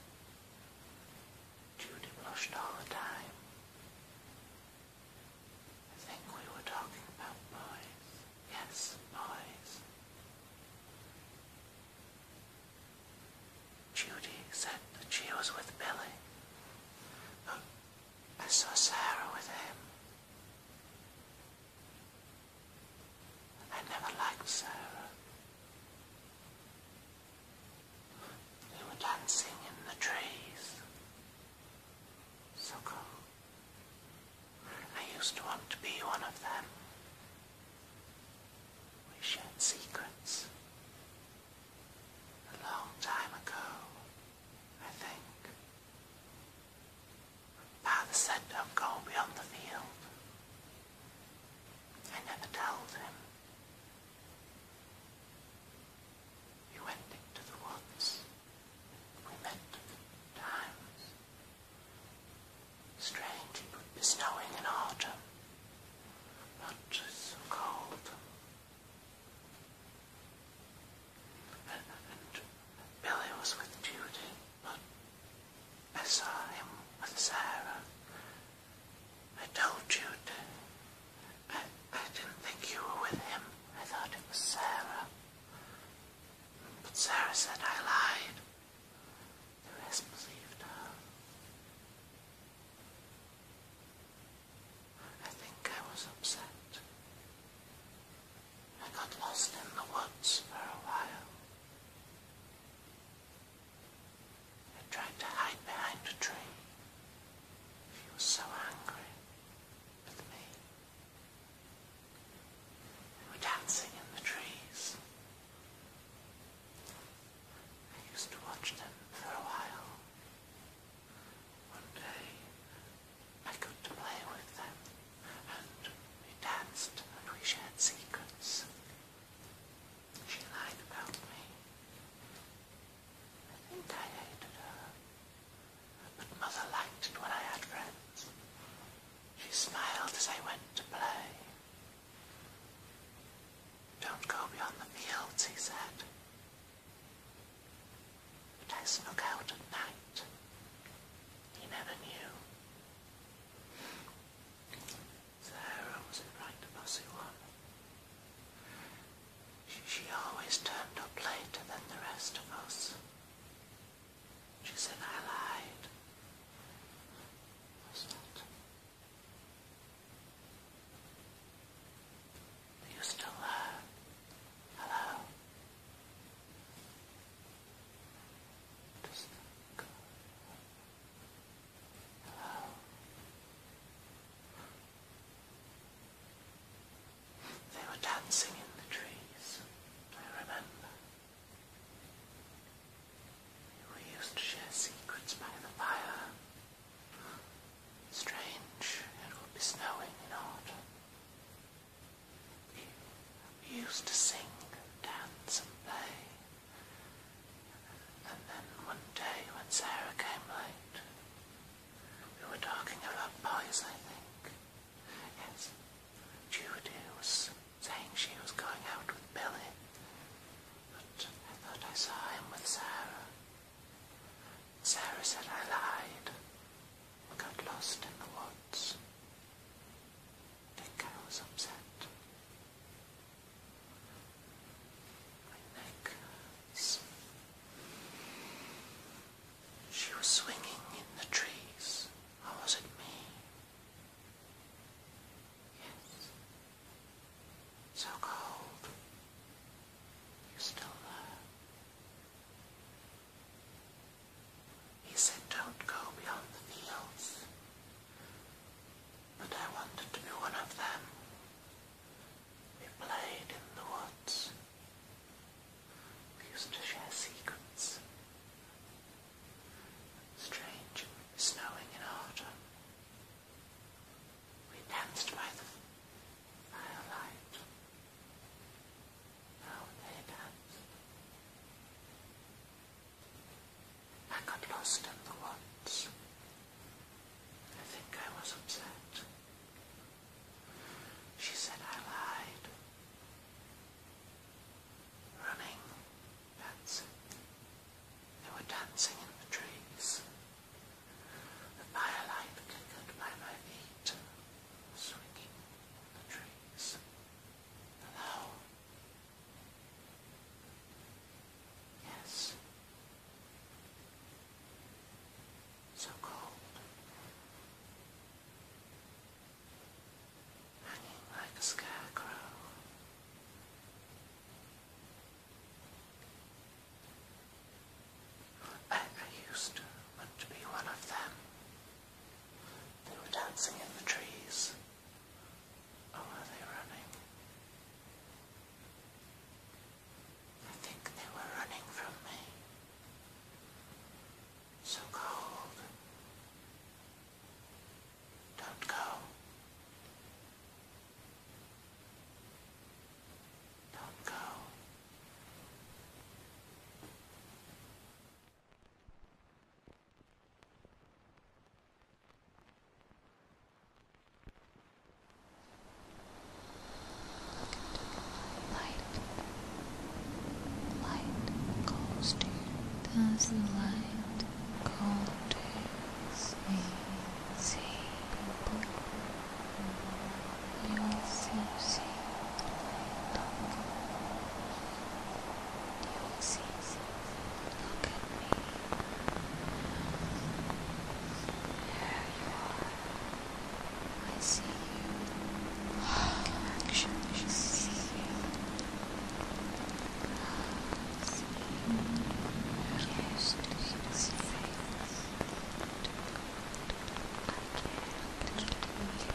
Judy blushed all the time. I think we were talking about boys. Yes, boys. Judy said that she was with Billy. I saw Sarah with him. I never liked Sarah. They were dancing in the trees. So cool. I used to want to be one of them. We shared secrets. A long time ago, I think. Father said, don't go beyond the field. I never told him. We went into the woods. We met times. Strange, it would snowing in autumn. Not just so cold. Billy was with Judy, but I saw him with Sarah. I told Judy. I, I didn't think you were with him. I thought it was Sarah. But Sarah said I lied. The rest believed her. I think I was upset. I got lost in the woods for a while. I tried to hide behind a tree. She was so angry with me. We were dancing in the trees. I used to watch them for a while. One day, I got to play with them, and we danced and we shared secrets. She lied about me. I think I hated her, but Mother liked it when I had friends. She smiled as I went to play. Don't go beyond the fields, he said. But I snuck out at night. He never knew. Sarah was a right bossy one. She, always turned up later than the rest of us. She said I lied. Was that? Are you still there? Hello? Does that They were dancing in the trees, I remember. We used to share secrets by the fire. Strange, it will be snowing in autumn. We used to sing and dance and play. And then one day when Sarah came late, we were talking about boys, I think. Yes, Judy was saying she was going out with Billy, but I thought I saw him with Sarah. Sarah said I lied We got lost in the woods think I was upset. I think she was swinging in the trees, oh, was it me? Yes. So cold. You still there? He said, Don't go beyond the fields. But I wanted to be one of them. We played in the woods. We used to share secrets. Strange, snowing in autumn. We danced by the firelight. Now they danced. I got lost in the woods. I think I was upset. She said I lied. Running, dancing. They were dancing in the trees. The firelight flickered by my feet, swinging in the trees. Hello, Yes. So cold. Hanging like a scarecrow. I, used to want to be one of them. They were dancing in the trees. Oh, are they running? I think they were running from me. So cold. Don't go. Don't go. Light. Light calls to Does the light call to see? See people. You also see the see look at me. There you are. I see you. I can actually see you. I see you. Yes, see my face. I can't keep you.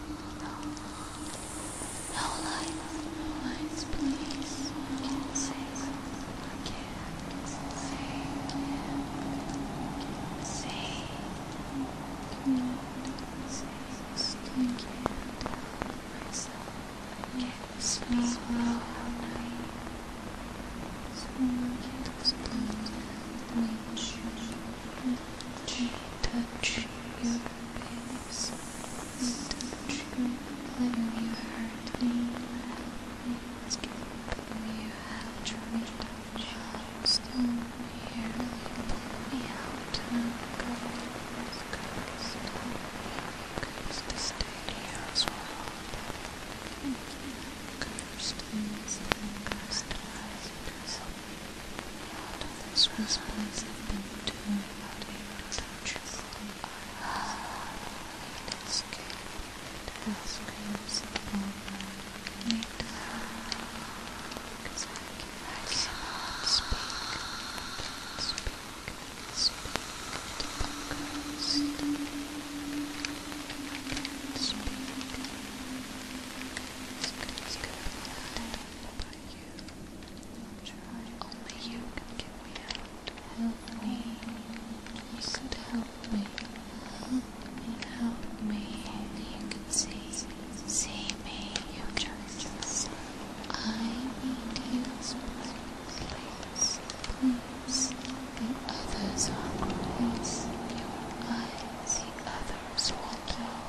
No lights, no lights, please. I can't save. I can't save. I can't save. Can't save. Can't myself. I can't sleep all night. So I can't explain. Wait touch your face, touch whenever you hurt skip you have tried to still here pull me out and go cursed to stay here as well cursed and cursed this was place I've been to about eight centuries. It is good. It is good. Need to because I cannot speak. Speak. Speak. To the ghost. I can't speak. It's good, it's you. I'm sure only you can get me out. Help me. You could help me. Help me. Help me. Only you can see. See me. You just. I need you. Please. Please. The others are close. Your eyes. The others will know.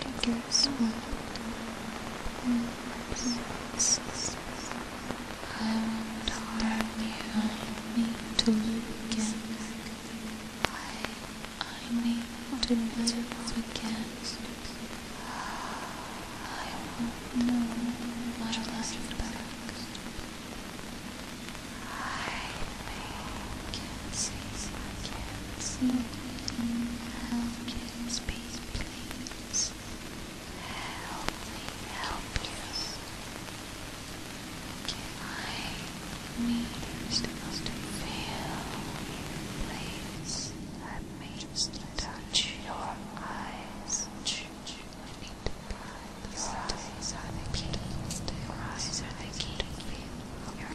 take your swoop I want harm behind me to look again. I, I need to live again. I want no my life back. I Kisses, I can't see Help kiss, please, please Help me, help you Can I need still to feel Please, let me just touch your eyes I need to blind your eyes are the key, your eyes are the key your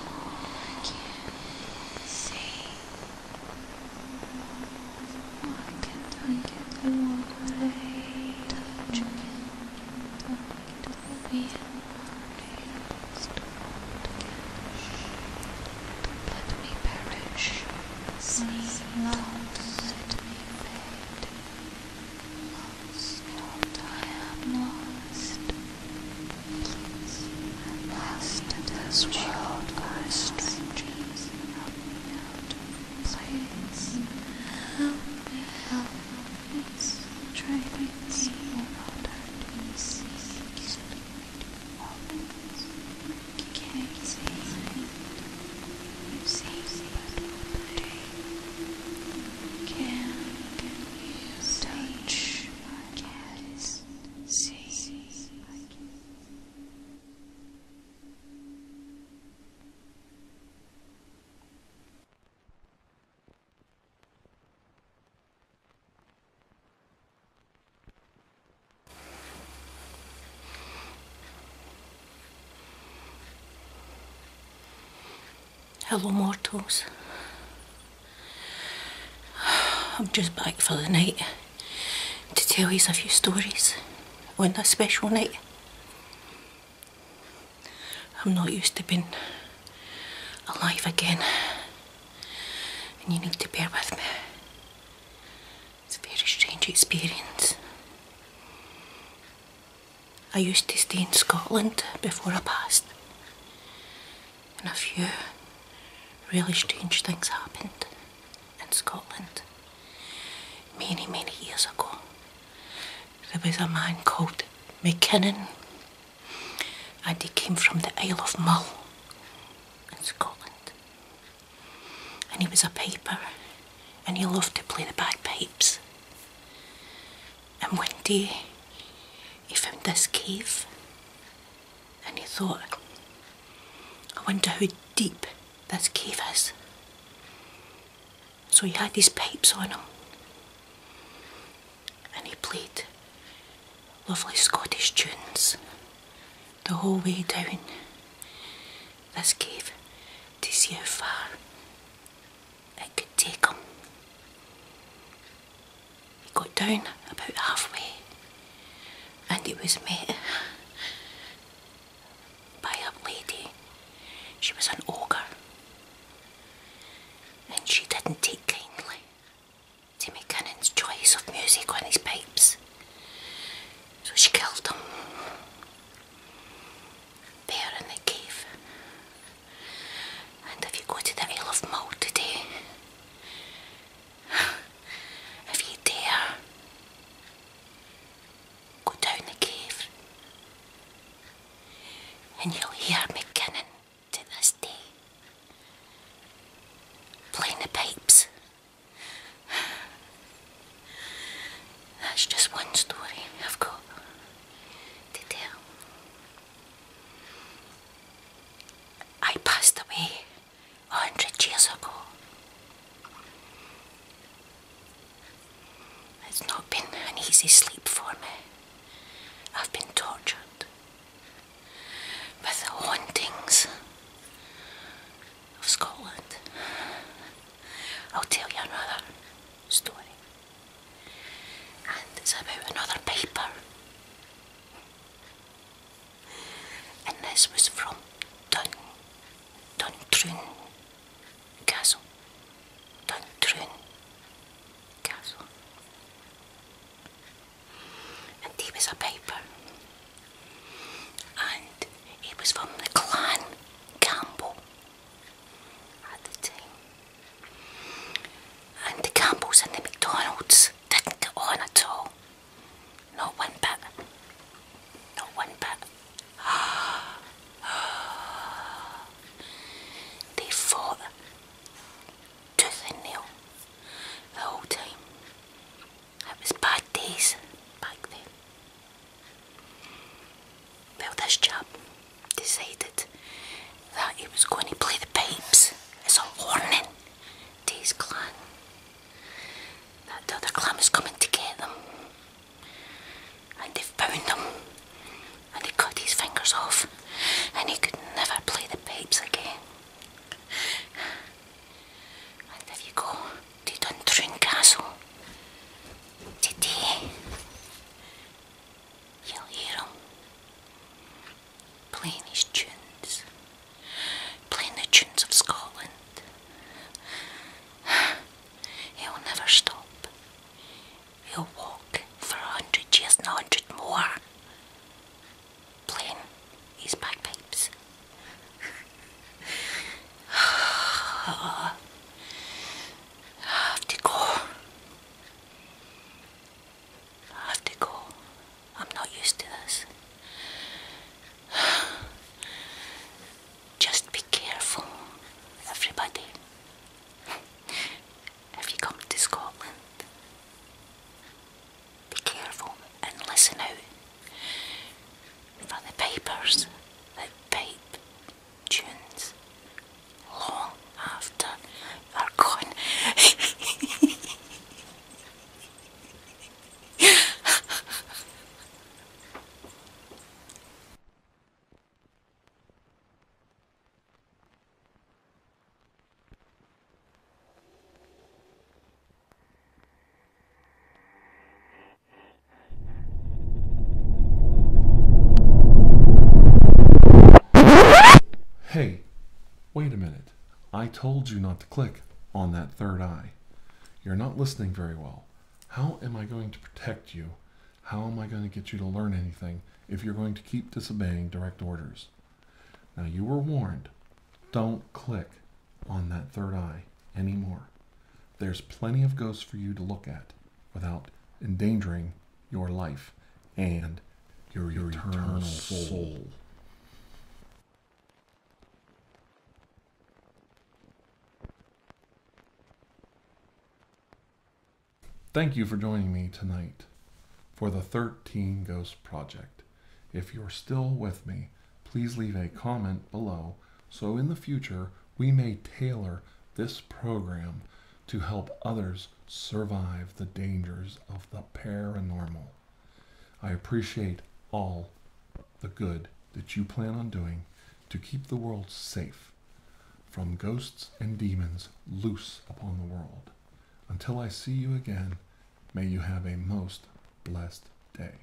can't see. Why can't I get the water? Touch me. Don't be let me perish. See, don't let me fade lost I am lost. And lost in this world by strangers. Help me out of place. Help me, help out of pieces. Can't see. You've seen but can you touch my kiss? See Hello, mortals. I'm just back for the night to tell you a few stories on this special night. I'm not used to being alive again, and you need to bear with me. It's a very strange experience. I used to stay in Scotland before I passed, and a few really strange things happened in Scotland many, many years ago. There was a man called McKinnon, and he came from the Isle of Mull in Scotland, and he was a piper, and he loved to play the bagpipes. And one day he found this cave and he thought, I wonder how deep this cave is. So he had his pipes on him and he played lovely Scottish tunes the whole way down this cave to see how far it could take him. He got down about halfway and it was met by a lady. She was an ogre and she didn't take kindly to McKinnon's choice of music when he's pipes. So she killed him there in the cave. And if you go to the Isle of Mull today, if you dare, go down the cave and you'll hear McKinnon to this day playing the pipes. That's just one story I've got to tell. I passed away a hundred years ago. It's not been an easy sleep for me. I've been tortured by the hauntings of Scotland. I'll tell you another story and it's about another paper. And this was from Dun Duntroon Castle. Duntroon Castle. And he was a paper. And it was from the clan Campbell at the time. And the Campbells and the McDonald's didn't get on at all. Not one bit. Not one bit. they fought tooth and nail the whole time. That was bad days back then. Well, this job decided that he was going to play the pipes as a warning to his clan that the other clan is coming to get them and they've bound him and they cut his fingers off and he could never play the pipes again. And if you go to Duntroon Castle today, you'll hear them playing his tunes, playing the tunes of Scotland. He'll never stop. He'll walk for a hundred years and a hundred more, playing his bagpipes. have to go. I have to go. I'm not used to this. Just be careful, everybody. If you come to Scotland, be careful and listen out for the pipers that pipe tunes long after you are gone. Hey, Wait a minute. I told you not to click on that third eye. You're not listening very well. How am I going to protect you? How am I going to get you to learn anything if you're going to keep disobeying direct orders? Now, you were warned. Don't click on that third eye anymore. There's plenty of ghosts for you to look at without endangering your life and your, eternal, soul. soul. Thank you for joining me tonight for the 13 Ghost Project. If you're still with me, please leave a comment below so in the future we may tailor this program to help others survive the dangers of the paranormal. I appreciate all the good that you plan on doing to keep the world safe from ghosts and demons loose upon the world. Until I see you again, may you have a most blessed day.